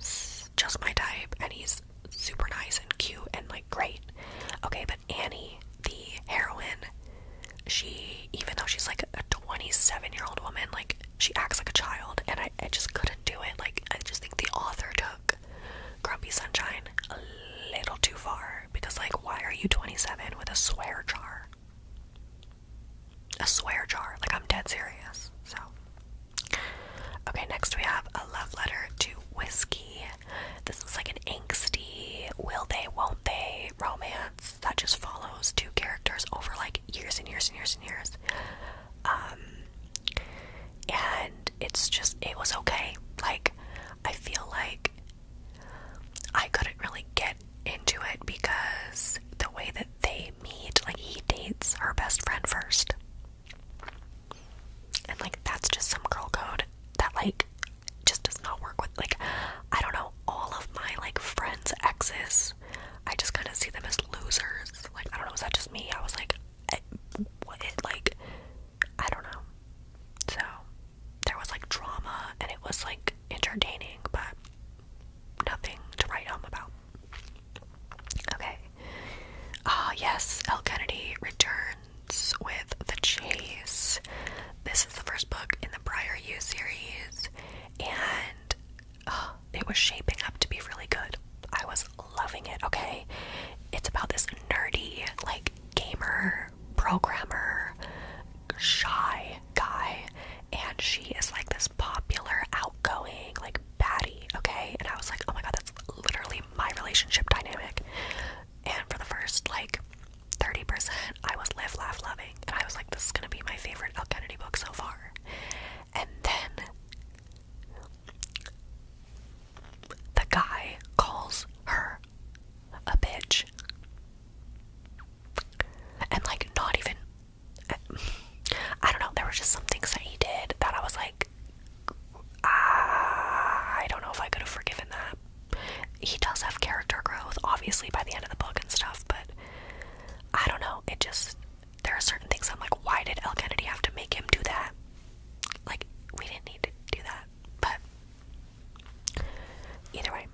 just my type, and he's super nice and cute and like great. Okay, but Annie, the heroine, she even though she's like a 27 year old woman like she acts like a child and I, I just couldn't do it like i just think the author took grumpy sunshine a little too far because like why are you 27 with a swear jar a swear jar like i'm dead serious so okay next we have a love letter to whiskey this is like an angsty will they won't they romance that just follows two characters over like years and years and years and years. Um, and it's just, it was okay. Like, I feel like I couldn't really get into it because the way that they meet, like, he dates her best friend first. And, like, that's just some girl code that, like, just does not work with, like, I don't know, all of my, like, friends' exes I just kind of see them as losers. Like, I don't know, was that just me? I was like, eh, I, like, I don't know. So, there was like drama and it was like entertaining, but nothing to write home about. Okay. Ah, yes, L. Kennedy returns with The Chase. This is the first book in the Prior U series, and uh, it was shaping up to be really good. I was loving it, okay? It's about this nerdy, like, gamer, programmer, shy guy, and she is like this popular, outgoing, like, baddie, okay? And I was like, oh my god, that's literally my relationship dynamic. And for the first, like, 30%, I was live, laugh, loving and I was like, this is gonna be my favorite El Kennedy book so far. And then the guy calls her a bitch. And like, not even. I don't know, there were just some things that he did that I was like, ah, I don't know if I could have forgiven that. He does have character growth, obviously, by the end of the book and stuff, but I don't know. It just there are certain things I'm like, why did L. Kennedy have to make him do that? Like we didn't need to do that. But either way.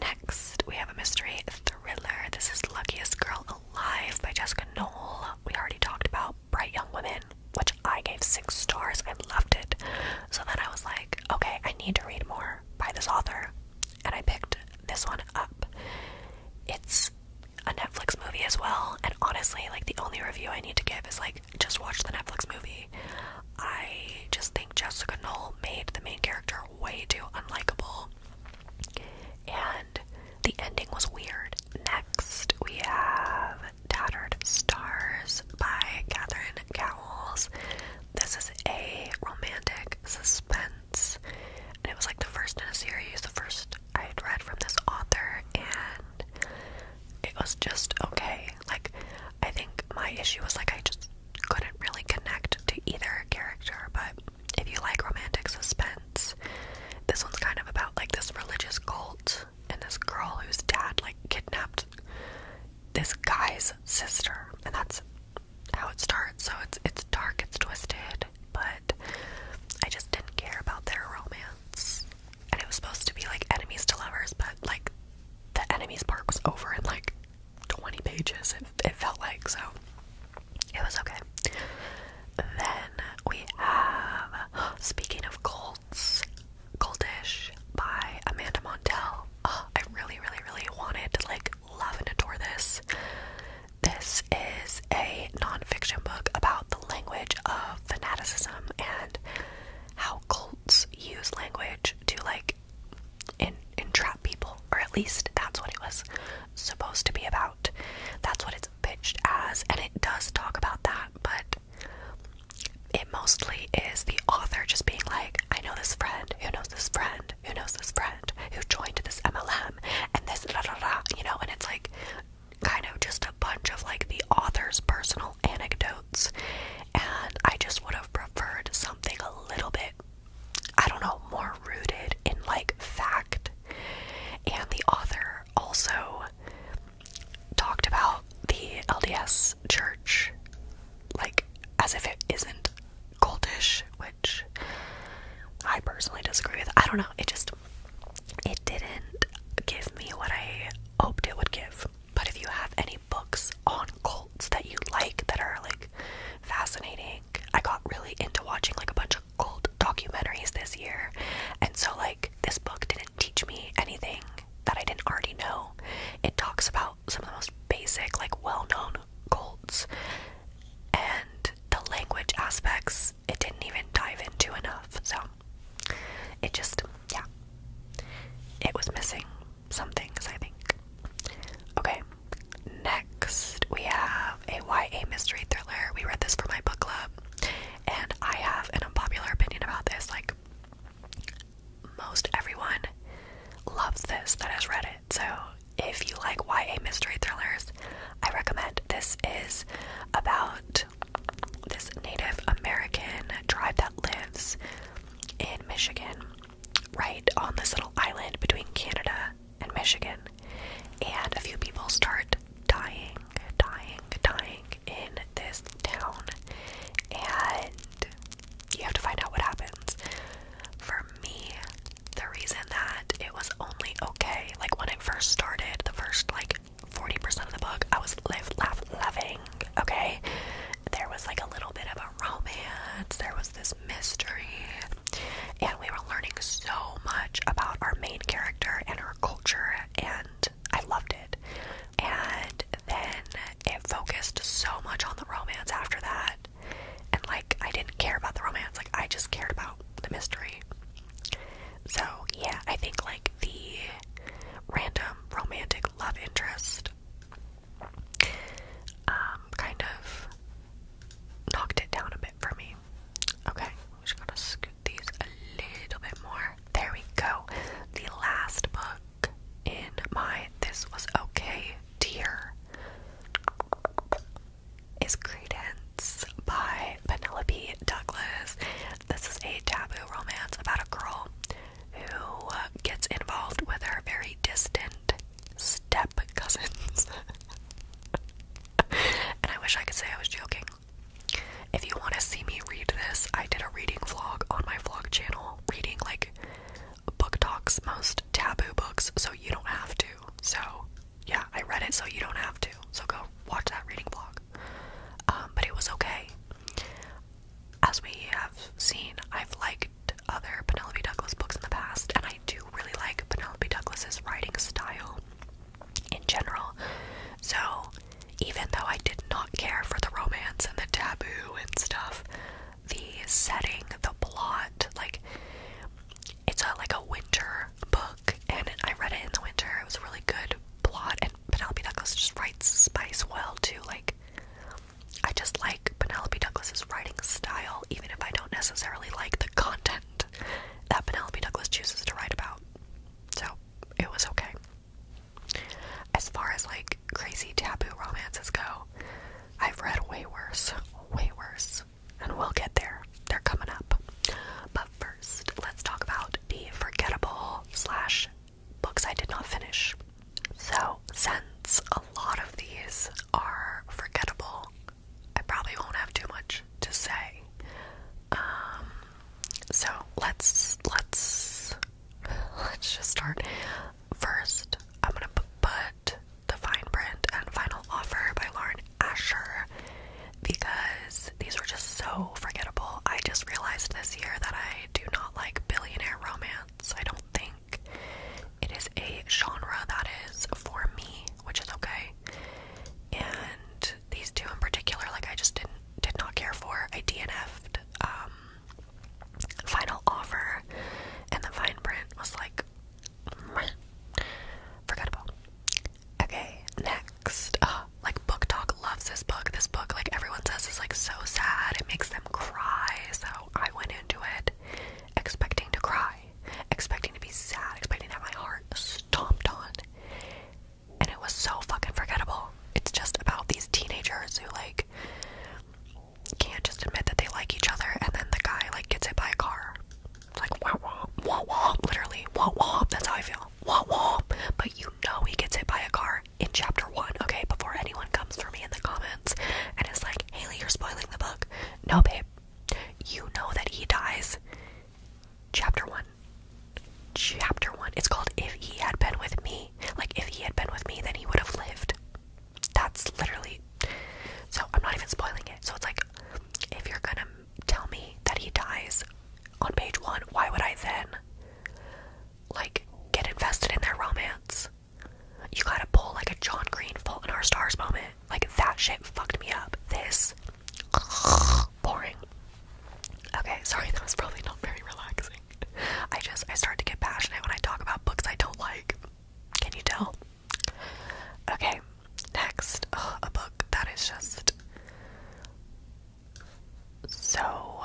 Next, we have a mystery thriller. This is Luckiest Girl Alive by Jessica Knoll. We already talked about Bright Young Women, which I gave six stars. I loved it. So then I was like, okay, I need to read more by this author and I picked this one up. It's a Netflix movie as well, and honestly, like the only review I need to give is like just watch the Netflix movie. I just think Jessica Knoll made the main character way too unlikable, and the ending was weird. Next, we have Tattered Stars by Catherine Cowles. This is a romantic suspense and it was like the first in a series, the first I had read from this author, and it was just okay. Like, I think my issue was like I just couldn't really connect to either character, but if you like romantic suspense, this one's kind of about like this religious cult and this girl whose dad like kidnapped this guy's sister, and that's how it starts. So it's it's dark, it's twisted, but I just didn't care about their romance. And it was supposed to be like enemies to lovers, but like the enemies part was over in like 20 pages. It, felt like so. It was okay. Then we have Speaking of Colts, Goldish by Amanda Montell. I really, really, really wanted like love and adore this. This is a nonfiction book about the language of fanaticism and how cults use language to like entrap people, or at least that's what it was supposed to be about. That's what it's pitched as, and it does talk about that, but it mostly is the author just being like, I know this friend who knows this friend who knows this friend who joined this MLM and this da da da, you know, and it's like kind of just a bunch of like the author's personal anecdotes. And I just would have preferred something a little bit, I don't know, more rooted in like fact. And the author also talked about the LDS church like as if it isn't goldish, which I personally disagree with. I don't know. It just it didn't give me what I hoped it would give. But if you have any books on cults that you like that are like fascinating, I got really into watching like a bunch of cult documentaries this year. And so like this book didn't teach me anything that I didn't already know. It talks about some of the most basic, like well known cults. And the language aspects, it didn't even dive into enough. So it just, yeah, it was missing some things, I think. Okay, next we have a YA mystery thriller. We read this for my book club, and I have an unpopular opinion about this. Like, most everyone loves this that has read it. So, if you like YA mystery thrillers, I recommend this is about this Native American tribe that lives in Michigan, right on this little island between Canada and Michigan. And a few people start dying, dying, dying in this town. And you have to find out what happens. For me, the reason that it was only okay, like when it first started, the first like 40% of the book, I was live, laugh, loving, okay? There was like a little bit of a romance, there was this mystery, and we were learning so much about our main character and her culture, and I loved it. And then it focused so much on the romance after that, and like I didn't care about the romance, like I just cared about the mystery. So yeah, I think like the random romantic love interest um, kind of knocked it down a bit for me. Okay, we am just gonna scoot these a little bit more. There we go. The last book in my This Was Okay dear is Credence by Penelope Douglas. This is a taboo romance about a girl who gets involved with her very distant step cousins. (laughs) and I wish I could say I was joking. If you want to see me read this, I did a reading vlog on my vlog channel, reading like book talks most taboo books, so you don't have to. So, yeah, I read it, so you don't have to. So, go watch that reading vlog. Um, but it was okay. As we have seen, I've liked other Penelope Douglas books in the past, and I do really like Penelope Douglas's writing style in general. So, even though I did not care for the romance and the taboo and stuff, the setting, the plot, like it's a like a winter book and I read it in the winter. It was a really good plot and Penelope Douglas just writes spice well too. Like I just like Penelope Douglas's writing style even if I don't necessarily like the content that Penelope Douglas chooses to write about. So, it was okay. As far as like crazy taboo romances go, I've read way worse, way worse and we'll get there. They're coming up. But first, let's talk about the forgettable slash books I did not finish. So, since a lot of these are forgettable, I probably won't have too much to say. Um, so let's let's (laughs) let's just start. First, I'm gonna put the fine print and final offer by Lauren Asher because these were just so forgettable. I just realized this year that I do not like billionaire romance. I don't think it is a genre that is for me, which is okay. And these two in particular, like I just didn't did not care for. I DNF'd um, final offer and the fine print was like Forgettable. Okay, next. Uh, like Book Talk loves this book. This book, like everyone says, is like so sad. It makes them cry. So I went into it expecting to cry, expecting to be sad, expecting to have my heart stomped on. And it was so fucking forgettable. It's just about these teenagers who like can't just admit that they like each other and then the guy like gets hit by a car. It's like wah wah wah wah literally wah wah that's how I feel. Wah wah but you know he gets hit by a car in chapter one, okay, before anyone comes for me in the comments and it's like, Haley, you're spoiling the book. No babe, you know that he dies. Chapter one. Chapter one. It's called If He Had Been With Me. Like if he had been with me then he would have lived. That's literally. So I'm not even spoiling it. So it's like, if you're gonna tell me that he dies on page one, why would I then, like, get invested in their romance? You gotta pull like a John Green "Fall in Our Stars moment. Like, that shit fucked me up. This. (sighs) boring. Okay, sorry, that was probably not very relaxing. I just, I start to get passionate when I talk about books I don't like. Can you tell? Okay, next, oh, a book that is just so.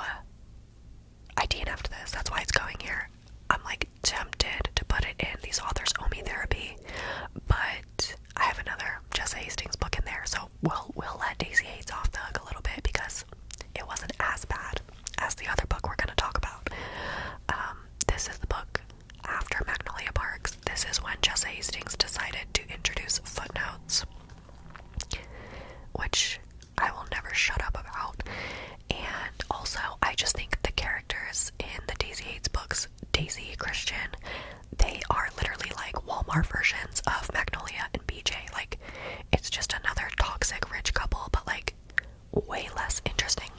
I DNF'd this, that's why it's going here. I'm like tempted to put it in. These authors owe me therapy, but I have another Jessa Hastings book in there, so we'll we'll let Daisy Hates off the hook a little bit because it wasn't as bad as the other book we're gonna talk about. Um, this is the book after Magnolia Parks, this is when Jesse Hastings decided to introduce footnotes, which I will never shut up about. And also, I just think the characters in the Daisy Hates books, Daisy, Christian, they are literally like Walmart versions of Magnolia and BJ. Like, it's just another toxic rich couple, but like way less interesting.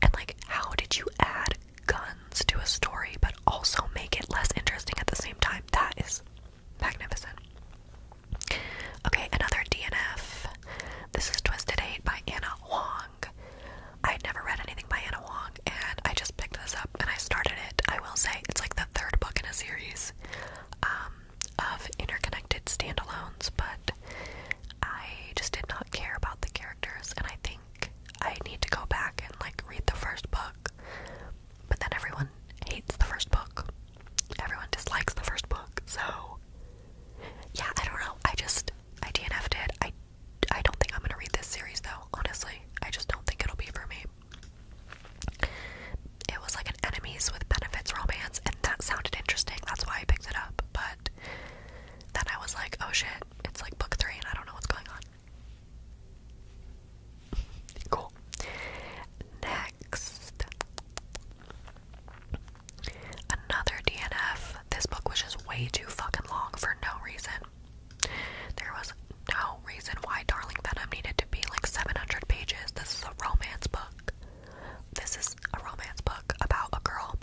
And like, how did you add guns to a story but also make it less interesting at the same time? That is magnificent. Okay, another DNF. This is Twisted Eight by Anna Wong. I'd never read anything by Anna Wong, and I just picked this up and I started it. I will say it's like the third book in a series um, of interconnected standalones, but I just did not care about the characters, and I think I need to go back and like read the first book. But then everyone hates the first book. Everyone dislikes the first book. So yeah, I don't know. I just I DNF'd I I don't think I'm gonna read this series though. Honestly, I just don't think it'll be for me. It was like an enemies with benefits romance, and that sounded interesting. That's why I picked it up. But then I was like, oh shit, it's like book three and I don't know what's going on. cool. Next. Another DNF. This book was just way too fucking long for no reason. There was no reason why Darling Venom needed to be like 700 pages. This is a romance book. This is a romance book about a girl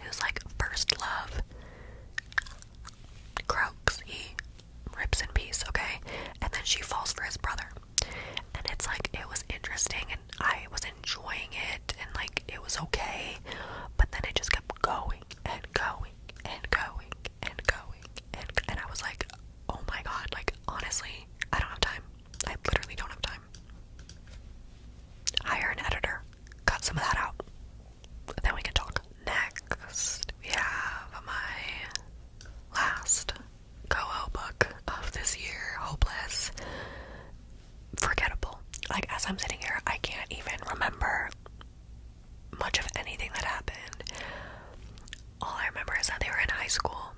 who's like first love croaks. He rips in peace, okay? And then she falls for his brother. And it's like it was interesting and I was enjoying it and like it was okay. But then it just kept going and going and going and going and and I was like, "Oh my god, like honestly, I don't have time. I literally don't have time." Hire an editor. Cut some of that out. Then we can talk. Next, we have my last Coho book of this year, Hopeless. Forgettable. Like, as I'm sitting here, I can't even remember much of anything that happened. All I remember is that they were in high school,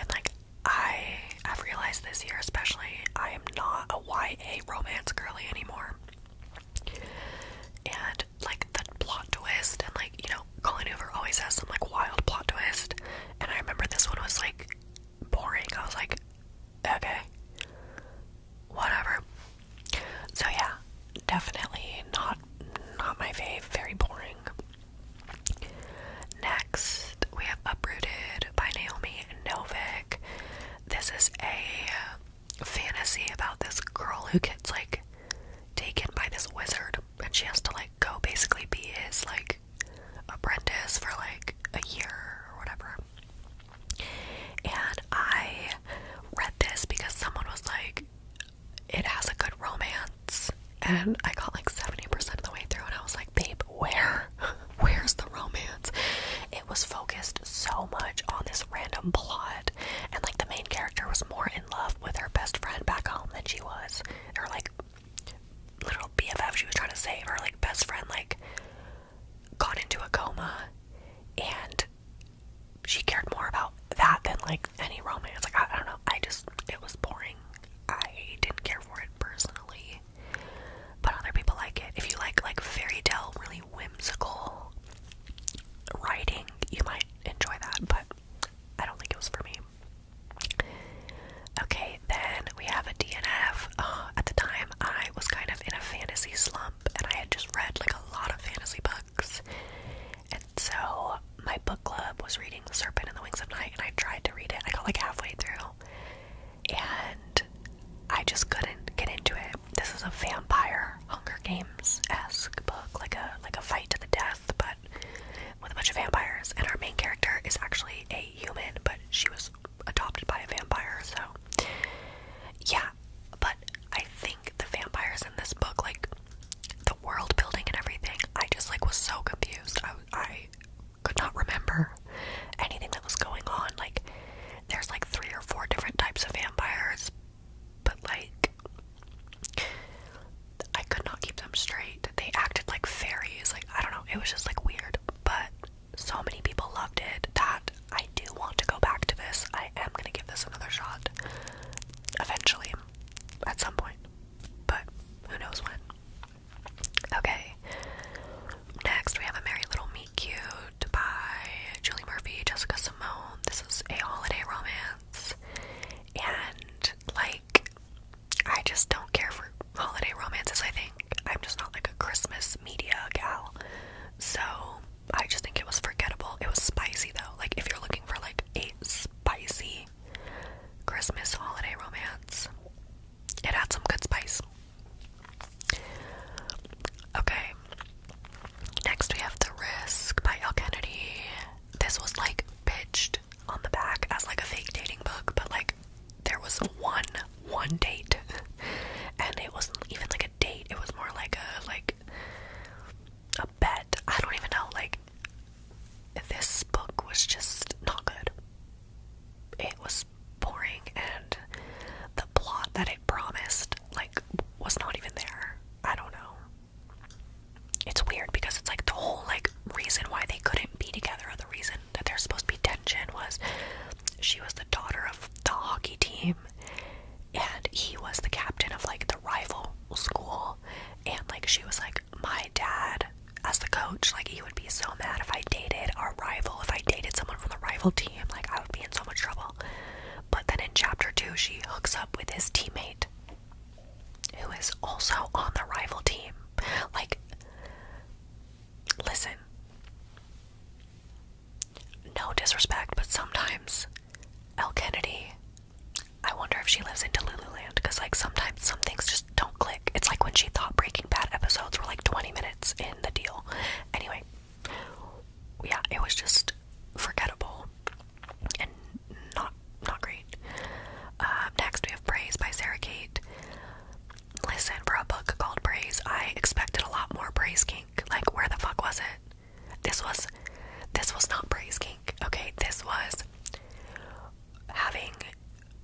and like I have realized this year, especially, I am not a YA romance girly anymore. And like the plot twist, and like you know, Colin Hoover always has some like wild plot twist. And I remember this one was like boring. I was like, okay, whatever. So yeah, definitely not not my fave. Very boring. Next, we have Uprooted, by Naomi Novik. This is a fantasy about this girl who gets like taken by this wizard and she has to like go basically be his like apprentice for like a year or whatever. And I read this because someone was like, it has a good romance. And I got like 70% of the way through, and I was like, babe, where? (laughs) Where's the romance? It was focused so much on this random plot, and like the main character was more in love with her best friend back home than she was. Her like little BFF she was trying to save, her like best friend like got into a coma, and she cared more about that than like any romance. Like I, I don't know, I just it was boring. I didn't care for it personally but other people like it. If you like like fairy tale, really whimsical writing, you might enjoy that, but I don't think it was for me. Okay, then we have a DNF. Uh, at the time, I was kind of in a fantasy slump, and I had just read like a lot of fantasy books, and so my book club was reading *The Serpent and the Wings of Night*, and I tried to read it. I got like halfway through, and I just couldn't get into it. This is a vampire Hunger Games esque book, like a like a fight to the death, but with a bunch of vampires. And our main character is actually a human, but she was adopted by a vampire, so yeah. But I think the vampires in this book, like the world building and everything, I just like was so confused. I I could not remember anything that was going on. Like, there's like three or four different types of vampires, but like, I could not keep them straight. They acted like fairies. Like, I don't know. It was just like weird, but so many people loved it that I do want to go back to this. I am gonna give this another shot eventually at some point, but who knows when. Okay. Next, we have a Merry Little Meet Cute by Julie Murphy, Jessica Simone. This is a holiday romance, and like, I just don't care for holiday romances. I think I'm just not like a Christmas media gal, so I just think it was forgettable. It was spicy though. Like, if you're looking for like a spicy Christmas holiday romance, it had some good spice. Okay. Next we have The Risk by L. Kennedy. This was like pitched on the back as like a fake dating book, but like there was one one date. (laughs) and it wasn't even like a date. It was more like a like a bet. I don't even know, like this book was just not good. It was boring and the plot that it promised like was not even there. I don't know. It's weird because it's like the whole like reason why they couldn't be together or the reason that there's supposed to be tension was she was the daughter of the hockey team and he was the captain of like the rival school and like she was like my dad as the coach like he would be so mad if I dated our rival, if I dated someone from the rival team, like I would be in so much trouble. But then in chapter two, she hooks up with his teammate who is also on the rival team. Like, listen, no disrespect, but sometimes Elle Kennedy, I wonder if she lives in Delulu land because, like, sometimes some things just don't click. It's like when she thought Breaking Bad episodes were like 20 minutes in the deal. Anyway, yeah, it was just forgettable and not not great. Um, next, we have Praise by Sarah Kate. Listen, for a book called Praise, I expected a lot more praise kink. Like, where the fuck was it? This was, this was not praise kink. Okay, this was having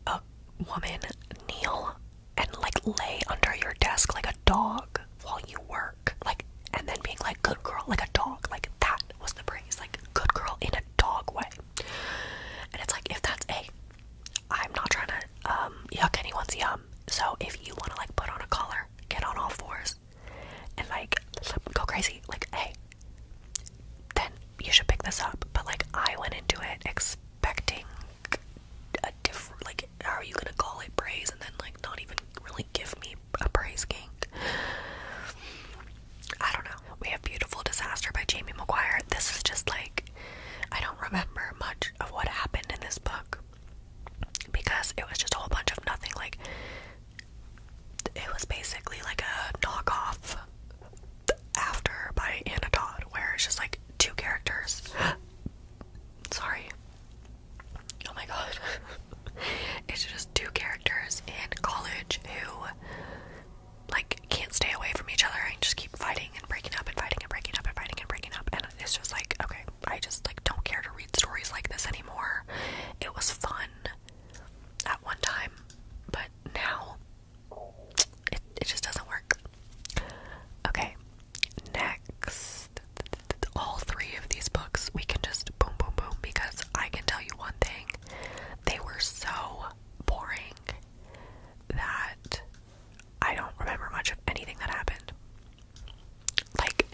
a woman kneel and like lay under your desk like a dog while you work, like, and then being like, good girl, like a dog, like that was the praise, like, good girl in a dog way. And it's like, if that's a, I'm not trying to um, yuck anyone's yum. So if you want to like put on a collar, get on all fours, and like go crazy, like, hey, then you should pick this up. But like, I went into it expecting a different, like, how are you gonna call it praise and then, like, not even really give me a praise kink? I don't know. We have Beautiful Disaster by Jamie McGuire. This is just like, I don't remember much of what happened in this book because it was just a whole bunch of nothing. Like, it was basically like a knockoff after by Anna Todd, where it's just like two characters Sorry. Oh my god. (laughs) it's just two characters in college who like can't stay away from each other and just keep fighting and breaking up and fighting and breaking up and fighting and breaking up and it's just like okay, I just like don't care to read stories like this anymore. It was fun at one time, but now it, it just doesn't work. Okay, next, all three of these books we can just boom, boom, boom because I can tell you one thing they were so boring that I don't remember much of anything that happened. Like,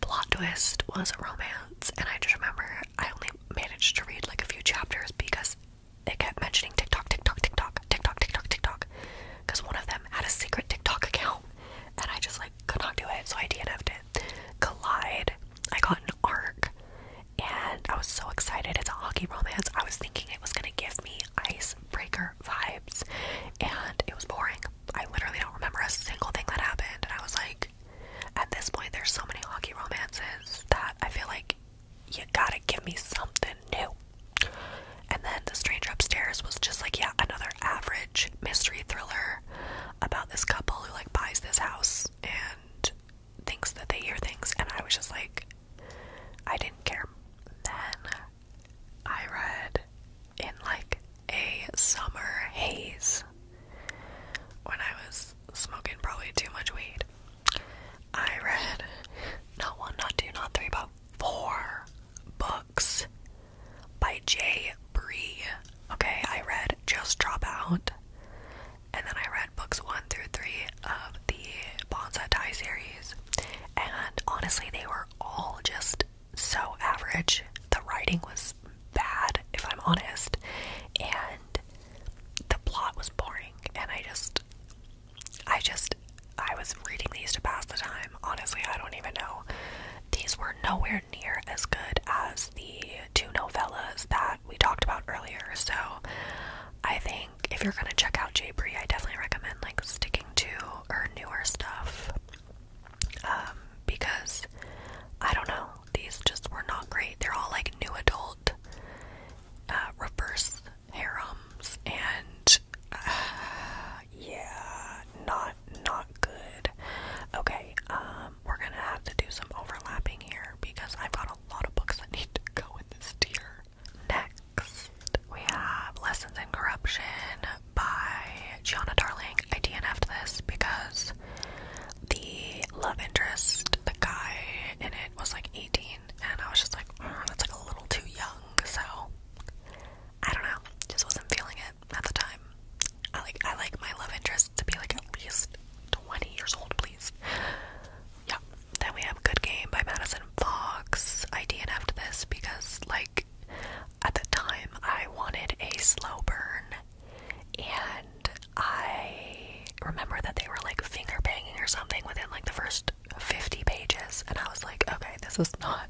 plot twist was a romance, and I just remember I only managed to read like a few chapters because I kept mentioning TikTok, TikTok, TikTok, TikTok, TikTok, TikTok, because one of them had a secret TikTok account, and I just like could not do it, so I DNF'd it. Collide, I got an arc, and I was so excited. It's a hockey romance. I was thinking it was gonna give me icebreaker vibes, and it was boring. I literally don't remember a single thing that happened, and I was like, at this point, there's so many hockey romances that I feel like you gotta give me something new. And then The Stranger Upstairs was just like, yeah, another average mystery thriller about this couple who like buys this house and thinks that they hear things. And I was just like, I didn't care. Then I read in like a summer haze when I was smoking probably too much weed. I read not one, not two, not three, but four books by Jay Bree. Okay, I read Just Drop Out, and then I read books one through three of the Bonsai Die series, and honestly, they were all just so average. The writing was bad, if I'm honest, and the plot was boring, and I just I just, I was reading these to pass the time. Honestly, I don't even know. These were nowhere near as good as the two novellas that we talked about earlier. So I think if you're gonna check out J. Bree, I definitely recommend like sticking to her newer stuff. Um, because I don't know, these just were not great. They're all like new adult, uh, harems and (sighs) yeah, not not good. Okay, um, we're gonna have to do some overlapping here because I've got a lot of books that need to go in this tier. Next, we have Lessons in Corruption by Gianna Darling. I DNF'd this because the love interest, the guy in it was like 18 and I was just like, mm, that's like a little too young, so I don't know, just wasn't feeling it at the time. I like I like my love interest to be like at least 20 years old, please. Yeah. Then we have Good Game by Madison Fox. I DNF'd this because like at the time I wanted a slow burn and I remember that they were like finger banging or something within like the first 50 pages and I was like, okay, this is not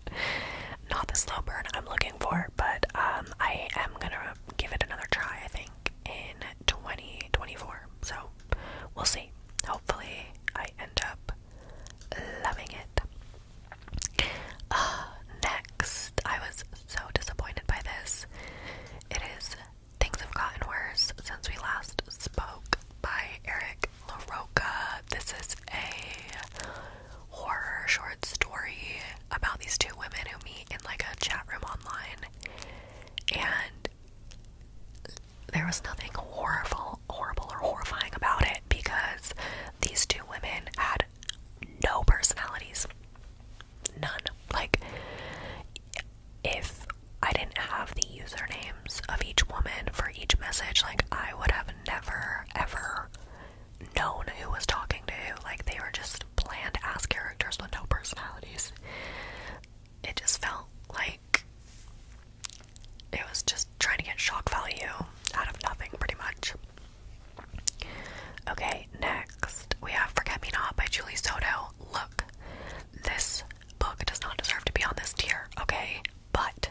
not the slow burn I'm looking for, but um I am going to give it another try, I think, in 2024. So, we'll see. Hopefully, I end up loving it. Uh, next, I was so disappointed by this. It is Things Have Gotten Worse Since We Last Spoke by Eric Nick This is a horror short story about these two women who meet in like a chat room online. And there was nothing horrible, horrible or horrifying about it because these two women had no personalities. None. Like if I didn't have the usernames of each woman for each message. Like, I would have never, ever known who was talking to Like, they were just bland ass characters with no personalities. It just felt like it was just trying to get shock value out of nothing, pretty much. Okay, next we have Forget Me Not by Julie Soto. Look, this book does not deserve to be on this tier, okay? but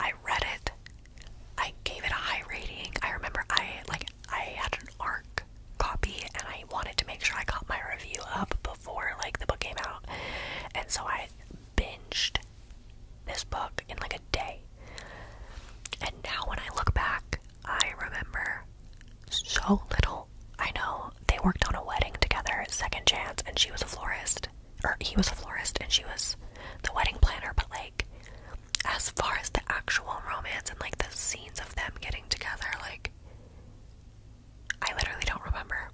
I read it. I gave it a high rating. I remember I like I had an ARC copy and I wanted to make sure I got my review up before like the book came out. And so I binged this book in like a day. And now when I look back, I remember so little. I know they worked on a wedding together, second chance, and she was a florist. Or he was a florist and she was the wedding planner, but like as far as the actual romance and like the scenes of them getting together, like I literally don't remember.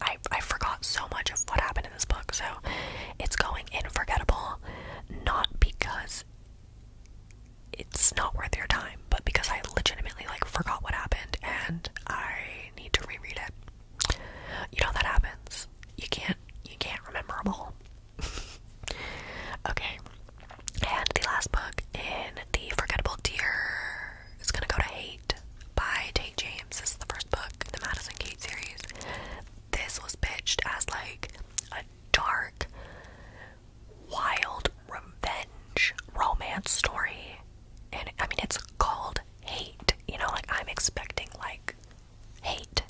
I I forgot so much of what happened in this book, so it's going in forgettable, not because it's not worth your time, but because I legitimately like forgot what happened and I need to reread it. You know that happens. You can't you can't remember them all. (laughs) okay. And the last book in the forgettable Deer is gonna go to Hate by Tate James. This is the first book in the Madison Kate series. This was pitched as like a dark, wild revenge romance story and I mean it's called hate. You know, like I'm expecting like hate.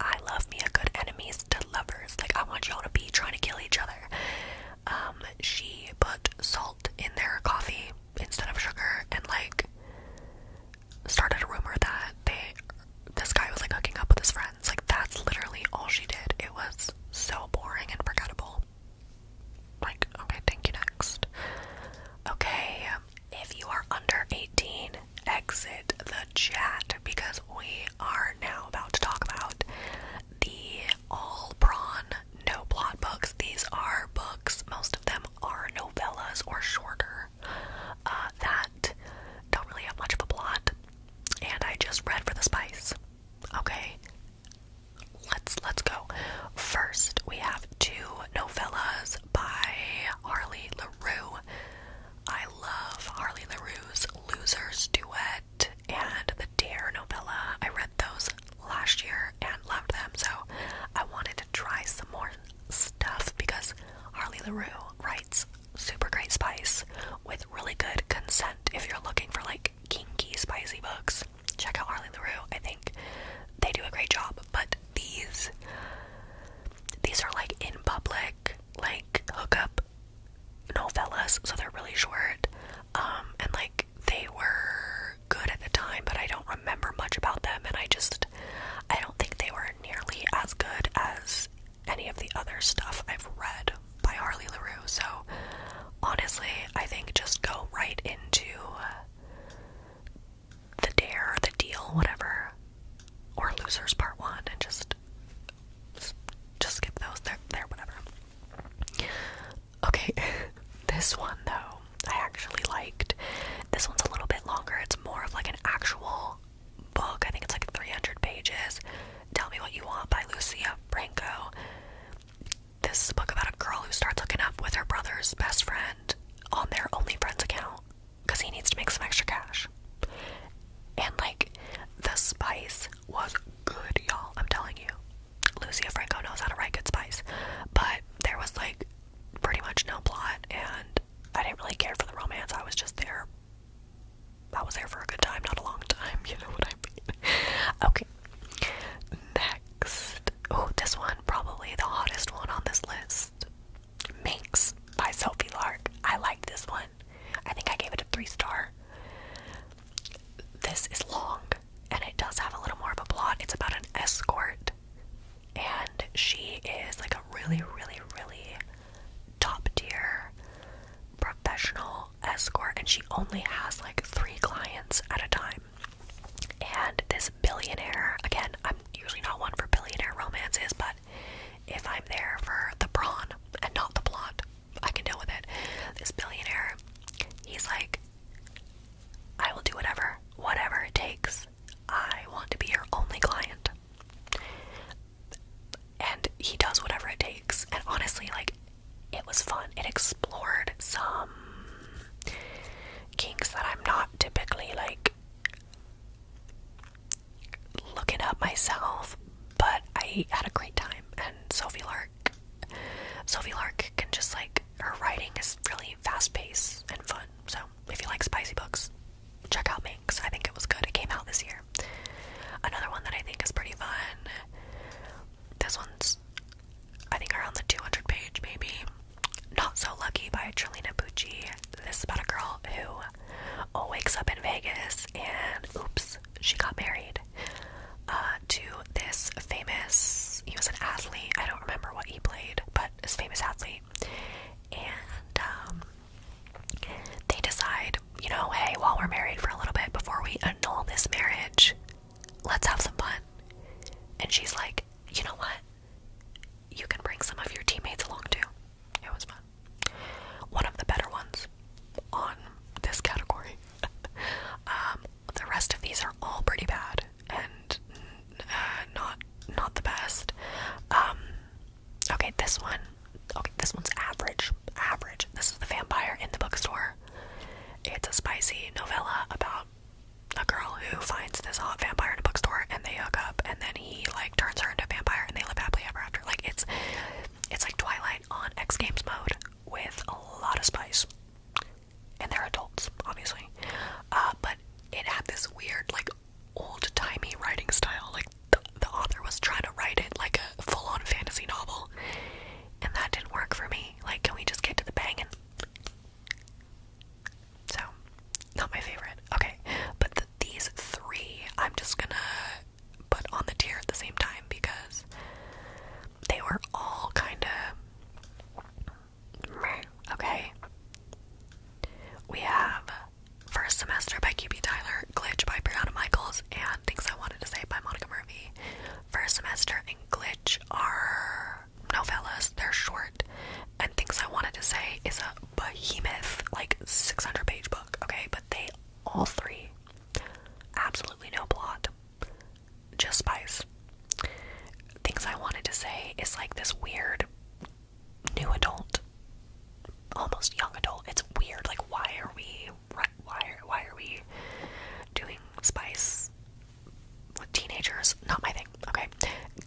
I love me a good enemies to lovers. Like I want y'all to be trying to kill each other. Um, she put salt in their coffee instead of sugar, and like started a rumor that they this guy was like hooking up with his friends. Like that's literally all she did. It was so boring and forgettable. Like, okay, thank you, next. Okay, if you are under 18, exit the chat because we are now about to talk about the all prawn no blot books. These are books, most of them are novellas or shorter, uh, that don't really have much of a plot. And I just read for the spice. Okay, Let's let's go. First, we have two novellas by Harley LaRue. I love Harley LaRue's Losers Duet and the "Dear" novella. I read those last year and loved them, so I wanted to try some more stuff because Harley LaRue writes super great spice with really good consent if you're looking for like kinky spicy books check out Arlie LaRue. I think they do a great job. But these these are like in public, like hookup novellas, so they're really short. Um, and like they were good at the time, but I don't remember much about them and I just I don't think they were nearly as good as any of the other stuff I've read by Harley LaRue. So honestly, I think just go right into uh, the dare, the deal, whatever, or losers part one, and just just skip those. There, there, whatever. Okay, (laughs) this one though, I actually liked. This one's a little bit longer. It's more of like an actual book. I think it's like 300 pages. Tell Me What You Want by Lucia Franco this book about a girl who starts looking up with her brother's best friend on their only friends account because he needs to make some extra cash. And like, the spice was good, y'all. I'm telling you. Lucia Franco knows how to write good spice. But there was like pretty much no plot, and I didn't really care for the romance. I was just there. I was there for a good time, not a long time. (laughs) You know what I mean? okay. Next next. Oh, this one, probably the hottest one on this list. Minx by Sophie Lark. I like this one. I think I gave it a three star. This is long and it does have a little more of a plot. It's about an escort and she is like a really, really, really top tier professional escort and she only has like three clients at a time. And this billionaire, again, I'm usually not one for billionaire romances, but if I'm there for the brawn and not the plot, I can deal with it. This billionaire, he's like, I will do whatever, whatever it takes. I want to be your only client. And he does whatever it takes. And honestly, like, it was fun. It explored some kinks that I'm not typically like looking up myself, but I had a great time. And Sophie Lark, Sophie Lark can just like her writing is really fast paced and fun. So if you like spicy books, check out Minx. I think it was good. It came out this year. Another one that I think is pretty fun this one's, I think, around the 200 page, maybe. Not So Lucky by Trilina Bucci. This is about a girl who wakes up in Vegas and oops, she got married uh, to this famous, he was an athlete. I don't remember what he played, but this famous athlete. And um, they decide, you know, hey, while we're married for a little bit before we annul this marriage, let's have some fun. And she's like, you know what? You can bring some of your teammates along too. It was fun. One of the better ones on this category. (laughs) Um, the rest of these are all pretty bad and uh, not not the best. Um, okay, this one. Okay, this one's average. Average. This is the vampire in the bookstore. It's a spicy novella about a girl who finds this hot vampire in a bookstore and they hook up and then he like turns her into a vampire and they live happily ever after. Like it's it's like Twilight on X Games mode with a lot of spice. And they're adults, obviously. Uh, but it had this weird, like old timey writing style. Like the, the author was trying to write it like a full on fantasy novel. And that didn't work for me. Like, can we just get to the banging? So, not my favorite. Okay, but these three I'm just gonna put on the tier at the same time because they were all kind of. Okay. We have First Semester by QB Tyler, Glitch by Brianna Michaels, and Things I Wanted to Say by Monica Murphy. First Semester and Glitch are novellas. They're short, and things I wanted to say is a behemoth, like 600 page book, okay? But they all three, absolutely no plot, just spice. Things I wanted to say is like this weird new adult, almost young adult. It's weird, like, why are we, why why are we doing spice? teenagers, not my thing. Okay,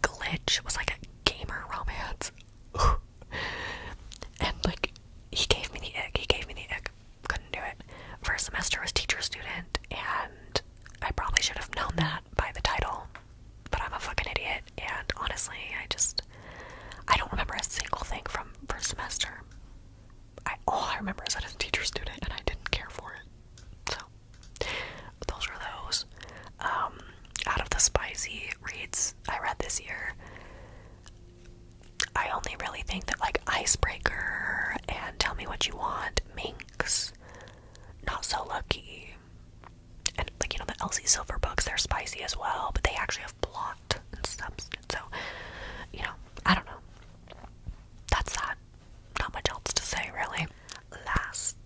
Glitch was like a gamer romance, (laughs) and like he gave me the ick. He gave me the ick. Couldn't do it. First semester was teacher student, and I probably should have known that by the title, but I'm a fucking idiot. And honestly, I just I don't remember a single thing from first semester. all I remember is that was teacher student, and I didn't care for it. So those are those. Um, out of the spicy reads I read this year, I only really think that like Icebreaker and Tell Me What You Want, Minks, Not So Lucky, and like you know the Elsie Silver books, they're spicy as well, but they actually have plot and substance. So, you know, I don't know. That's that not much else to say really. Last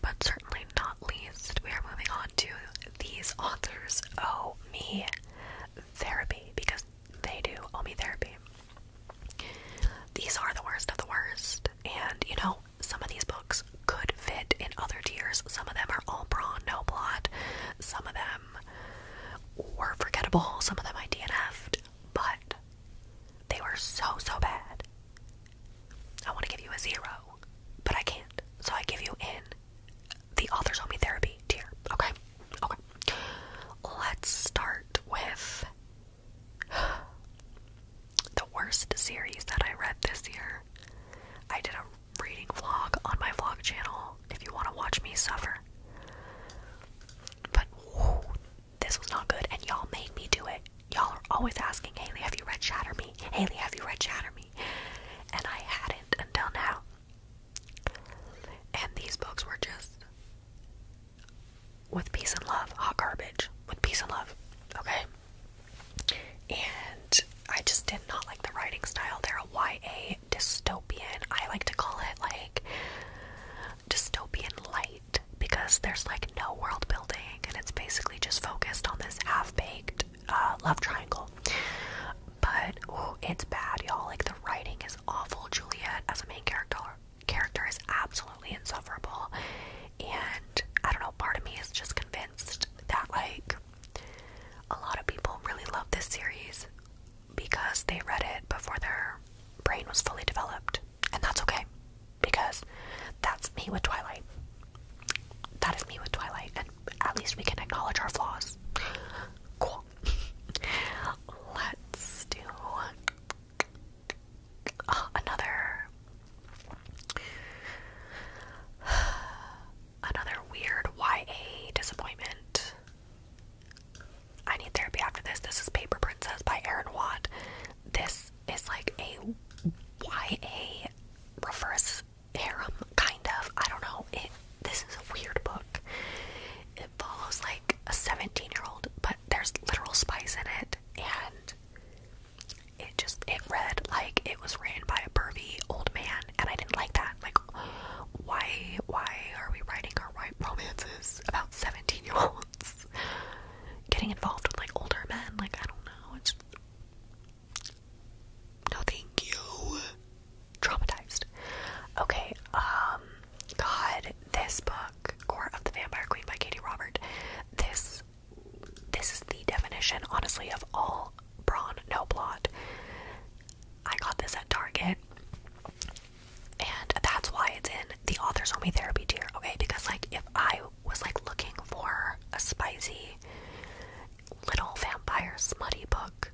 but certainly not least, we are moving on to these authors Oh, me therapy because they do oh me therapy. These are the worst of the worst, and you know, some of these books could fit in other tiers. Some of them are all brawn, no plot. Some of them were forgettable. Some of them I DNF'd but they were so, so bad. I want to give you a zero, but I can't. So I give you N. the authors only therapy tier. Okay? Okay. Let's start with the worst series that I read this year. I did a reading vlog on my vlog channel if you want to watch me suffer. But this was not good, and y'all made me do it. Y'all are always asking, Haley, have you read Shatter Me? Haley, have you read Shatter Me? And I hadn't until now. And these books were just with peace and love, hot garbage, with peace and love, okay? And I just did not like the writing style. They're a YA dystopian. I like to call it like dystopian light because there's like no world building and it's basically just focused on this half baked uh, love triangle. But it's bad, y'all. Like the writing is awful. Juliet as a main character character is absolutely insufferable, and I don't know. Part of me is just convinced that like a lot of people really love this series because they read it before their brain was fully developed. And that's okay because that's me with Twilight. That is me with Twilight, and at least we can acknowledge our flaws. (laughs) Let's do uh, another (sighs) another weird YA disappointment. I need therapy after this. This is Paper Princess by Aaron Watt. This is like a YA reverse harem, kind of. I don't know. It this is a weird book. It follows like a 17-year-old, but there's literal spice in it, and it just it read like it was written by a burly old man, and I didn't like that. Like, why why are we writing our white romances about 17-year-olds? getting involved with like older men, like I don't know, it's no thank you. Traumatized. Okay, um God, this book, Court of the Vampire Queen by Katie Robert, this this is the definition, honestly, of all brawn, no plot. I got this at Target. And that's why it's in the author's only therapy tier, okay? Because, like, if I was like looking for a spicy little vampire smutty book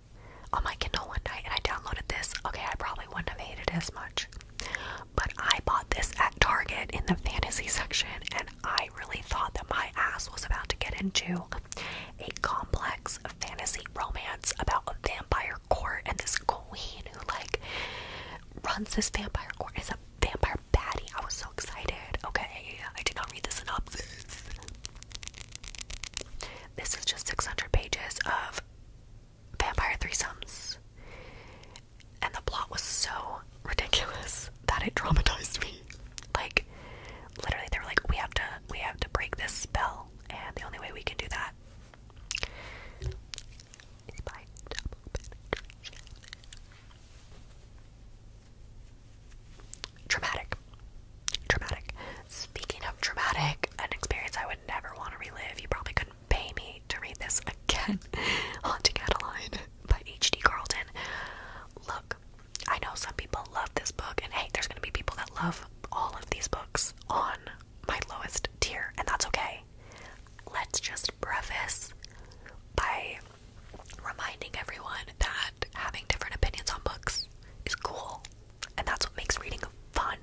on my Kindle one night and I downloaded this, okay, I probably wouldn't have hated as much. But I bought this at Target in the fantasy section, and I really thought that my ass was about to get into a complex fantasy romance about a vampire court and this queen who, like, runs this vampire court is a vampire baddie. I was so excited. Okay, I did not read the synopsis. This is just 600 pages of vampire threesomes. And the plot was so ridiculous that it traumatized me. Like, literally, they were like, "We have to, we have to break this spell," and the only way we can do that Traumatic. Traumatic. Speaking of traumatic, an experience I would never want to relive, you probably couldn't pay me to read this again. (laughs) Haunting Adeline by H.D. Carlton. Look, I know some people love this book, and hey, there's going to be people that love all of these books on my lowest tier, and that's okay let's just preface by reminding everyone that having different opinions on books is cool, and that's what makes reading fun.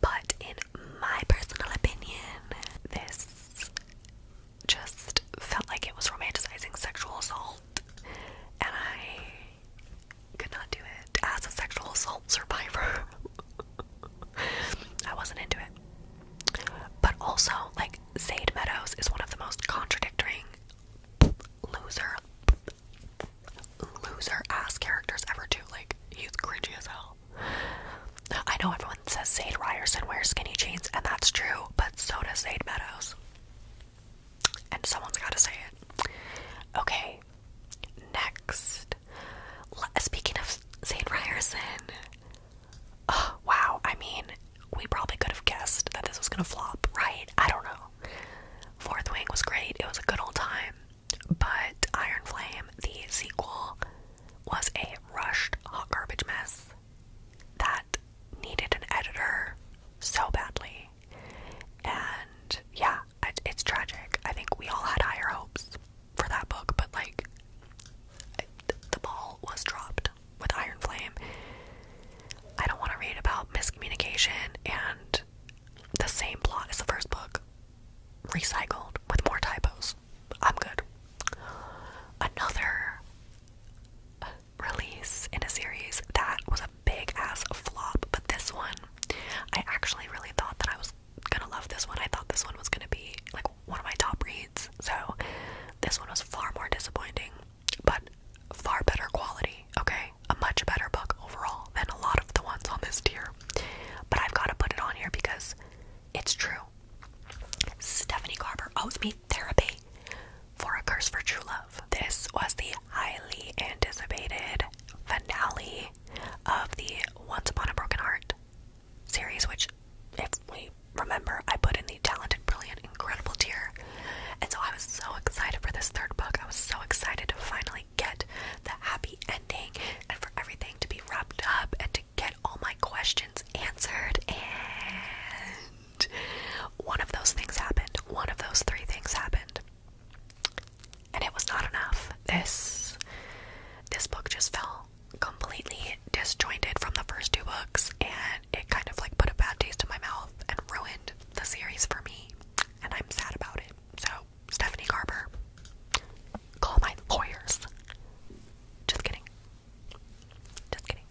But in my personal opinion, this just felt like it was romanticizing sexual assault, and I could not do it as a sexual assault survivor. (laughs) (laughs) I wasn't into it. But also, like, Zayd Meadows is one of the most contradicting loser loser ass characters ever too. Like, he's cringy as hell. I know everyone says Zayd Ryerson wears skinny jeans, and that's true, but so does Zayd Meadows. And someone's gotta say it. Okay, Next. Speaking of Zane Ryerson. Oh, wow. I mean, we probably could have guessed that this was going to flop, right? I don't know. Fourth Wing was great. It was a good old time. But Iron Flame, the sequel, was a rushed hot garbage mess that needed an editor so badly. And yeah, it's tragic. I think we all had higher hopes for that book, but like the ball was dropped with Iron Flame. I don't want to read about miscommunication and the same plot as the first book, recycled with more typos. I'm good. Another release in a series that was a big ass flop, but this one I actually really thought that I was gonna love this one. I thought this one was gonna be like one of my top reads, so this one was far more disappointing, but far better quality, okay? A much better book overall than a lot of the ones on this tier. But I've gotta put it on here because it's true. Stephanie Garber owes me therapy for A Curse for True Love. This was the highly anticipated finale of the Once Upon a Broken Heart series, which, if we remember, I put in the talented, brilliant, incredible tier. And so I was so excited for this third book. I was so excited to finally get the happy ending and for everything to be wrapped up and to get all my questions answered. And one of those things happened. One of those three things happened and it was not enough. This this book just fell completely disjointed from the first two books and it kind of like put a bad taste in my mouth and ruined the series for me and I'm sad about it. So Stephanie Garber, call my lawyers. Just kidding. Just kidding.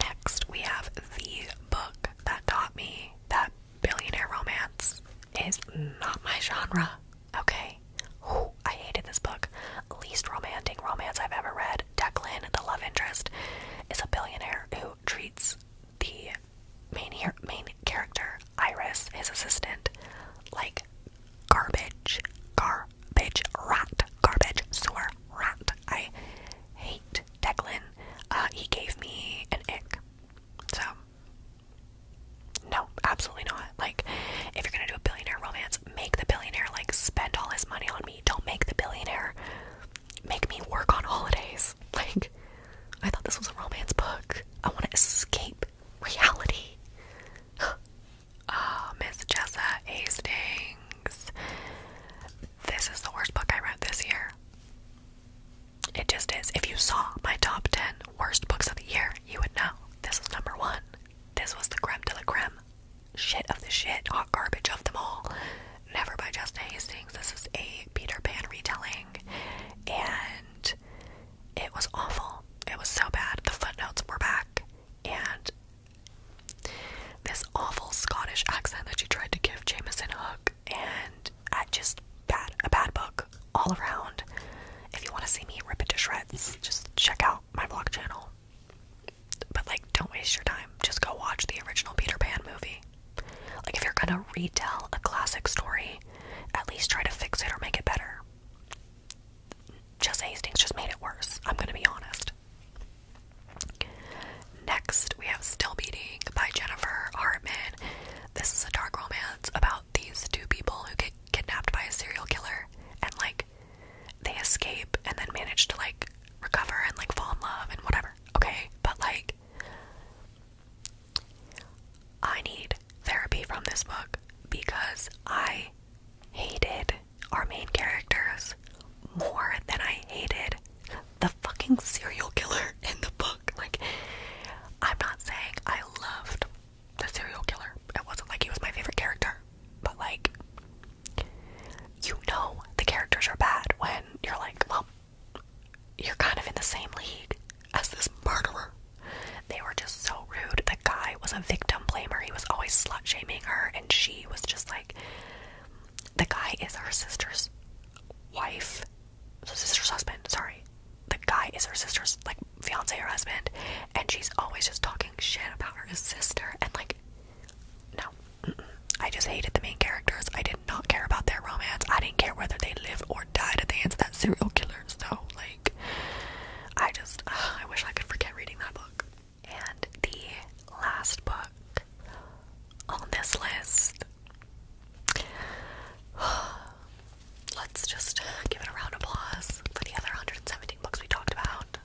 Next we have the book that taught me that billionaire romance is not my genre. Okay. I hated this book. Least romantic romance I've ever read. Declan, the love interest, is a billionaire who treats the main main character, Iris, his assistant, like garbage, garbage, rat, garbage, sewer, rat. I hate Declan. Uh, he gave me an ick. So no, absolutely not. Like, if you're gonna do a billionaire romance, make the billionaire like spend all his money on me. Don't make the billionaire make me work on holidays. (laughs) Like, I thought this was a romance book. I want to escape reality. oh, (gasps) Miss Jessa Hastings. This is the worst book I read this year. It just is. If you saw my top 10 worst books of the year, you would know. This was number one. This was the creme de la creme. Shit of the shit, hot garbage of them all. Never by Justin Hastings. This is a Peter Pan retelling, and it was awful. It was so bad. The footnotes were back, and this awful Scottish accent that she tried to give Jameson Hook, and I just bad a bad book all around. If you want to see me rip it to shreds, just check out my vlog channel. But like, don't waste your time. Just go watch the original Peter Pan movie. Like, if you're gonna retell a classic story, at least try to fix it or make it better. Just Hastings just made it worse. I'm gonna be honest. Next, we have Still Beating by Jennifer Hartman. This is a dark romance about these two people who get kidnapped by a serial killer and like they escape and then manage to like recover and like fall in love and whatever, okay? But like, I need therapy from this book because I hated our main characters more than I hated the fucking serial killer in the book. Like, I'm not saying I loved the serial killer. It wasn't like he was my favorite character, but like, you know, the characters are bad when you're like, well, you're kind of in the same league as this murderer. They were just so rude. The guy was a victim blamer. He was always slut shaming her, and she was just like, the guy is her sister's wife, her sister's husband, sorry the guy is her sister's like fiance or husband, and she's always just talking shit about her sister. And like, no, I just hated the main characters. I did not care about their romance. I didn't care whether they lived or died at the end of that serial killer. So like, I just I wish I could forget reading that book. And the last book on this list. (sighs) let's just give it a round of applause for the other 117 books we talked about.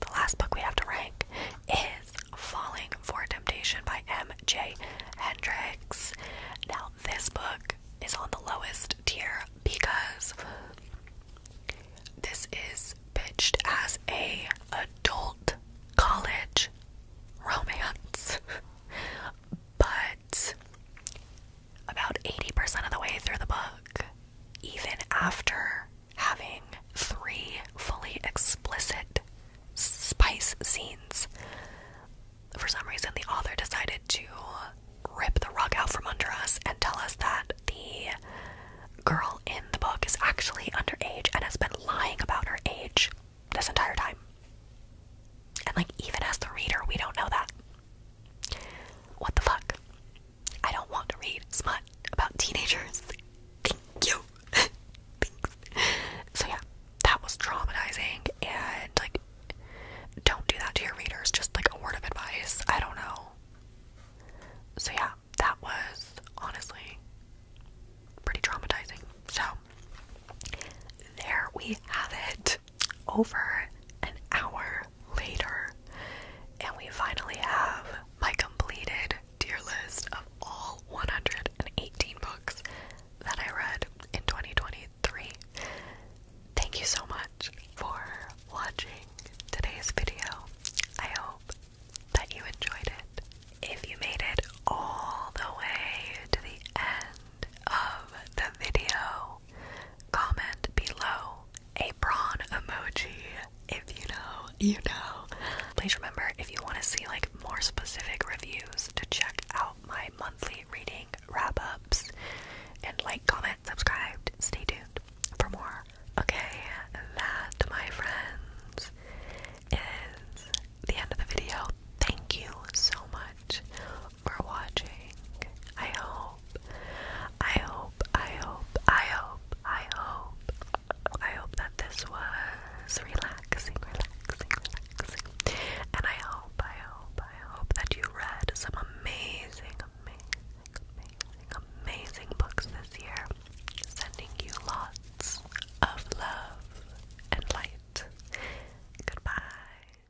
The last book we have to rank is Falling for Temptation by M.J. Hendricks. Now, this book is on the lowest tier because this is pitched as a adult college romance. (laughs) but about 80% of the way through the book, even after having three fully explicit spice scenes. For some reason, the author decided to rip the rug out from under us and tell us that the girl in the book is actually underage and has been lying about her age this entire time. And, like, even as the reader, we don't know that. What the fuck? I don't want to read smut about teenagers. Thank you. (laughs) So yeah, that was traumatizing and like don't do that to your readers, just like a word of advice. I don't know. So yeah, that was honestly pretty traumatizing. So there we have it. Over an hour later. And we finally have my completed tier list of all 118 books that I read in 2023. Thank you so much for watching today's video. I hope that you enjoyed it. If you made it all the way to the end of the video, Comment below a prawn emoji if you know, you know. Please remember if you want to see like more specific reviews to check out my monthly reading wrap ups and like, comment, subscribe, stay tuned for more. Okay, that my friends is the end of the video. Thank you so much for watching. I hope, I hope, I hope, I hope, I hope, I hope that this was relaxing, relaxing, relaxing. And I hope, I hope, I hope that you read some amazing, amazing, amazing, amazing books this year. Sending you lots of love and light. Goodbye.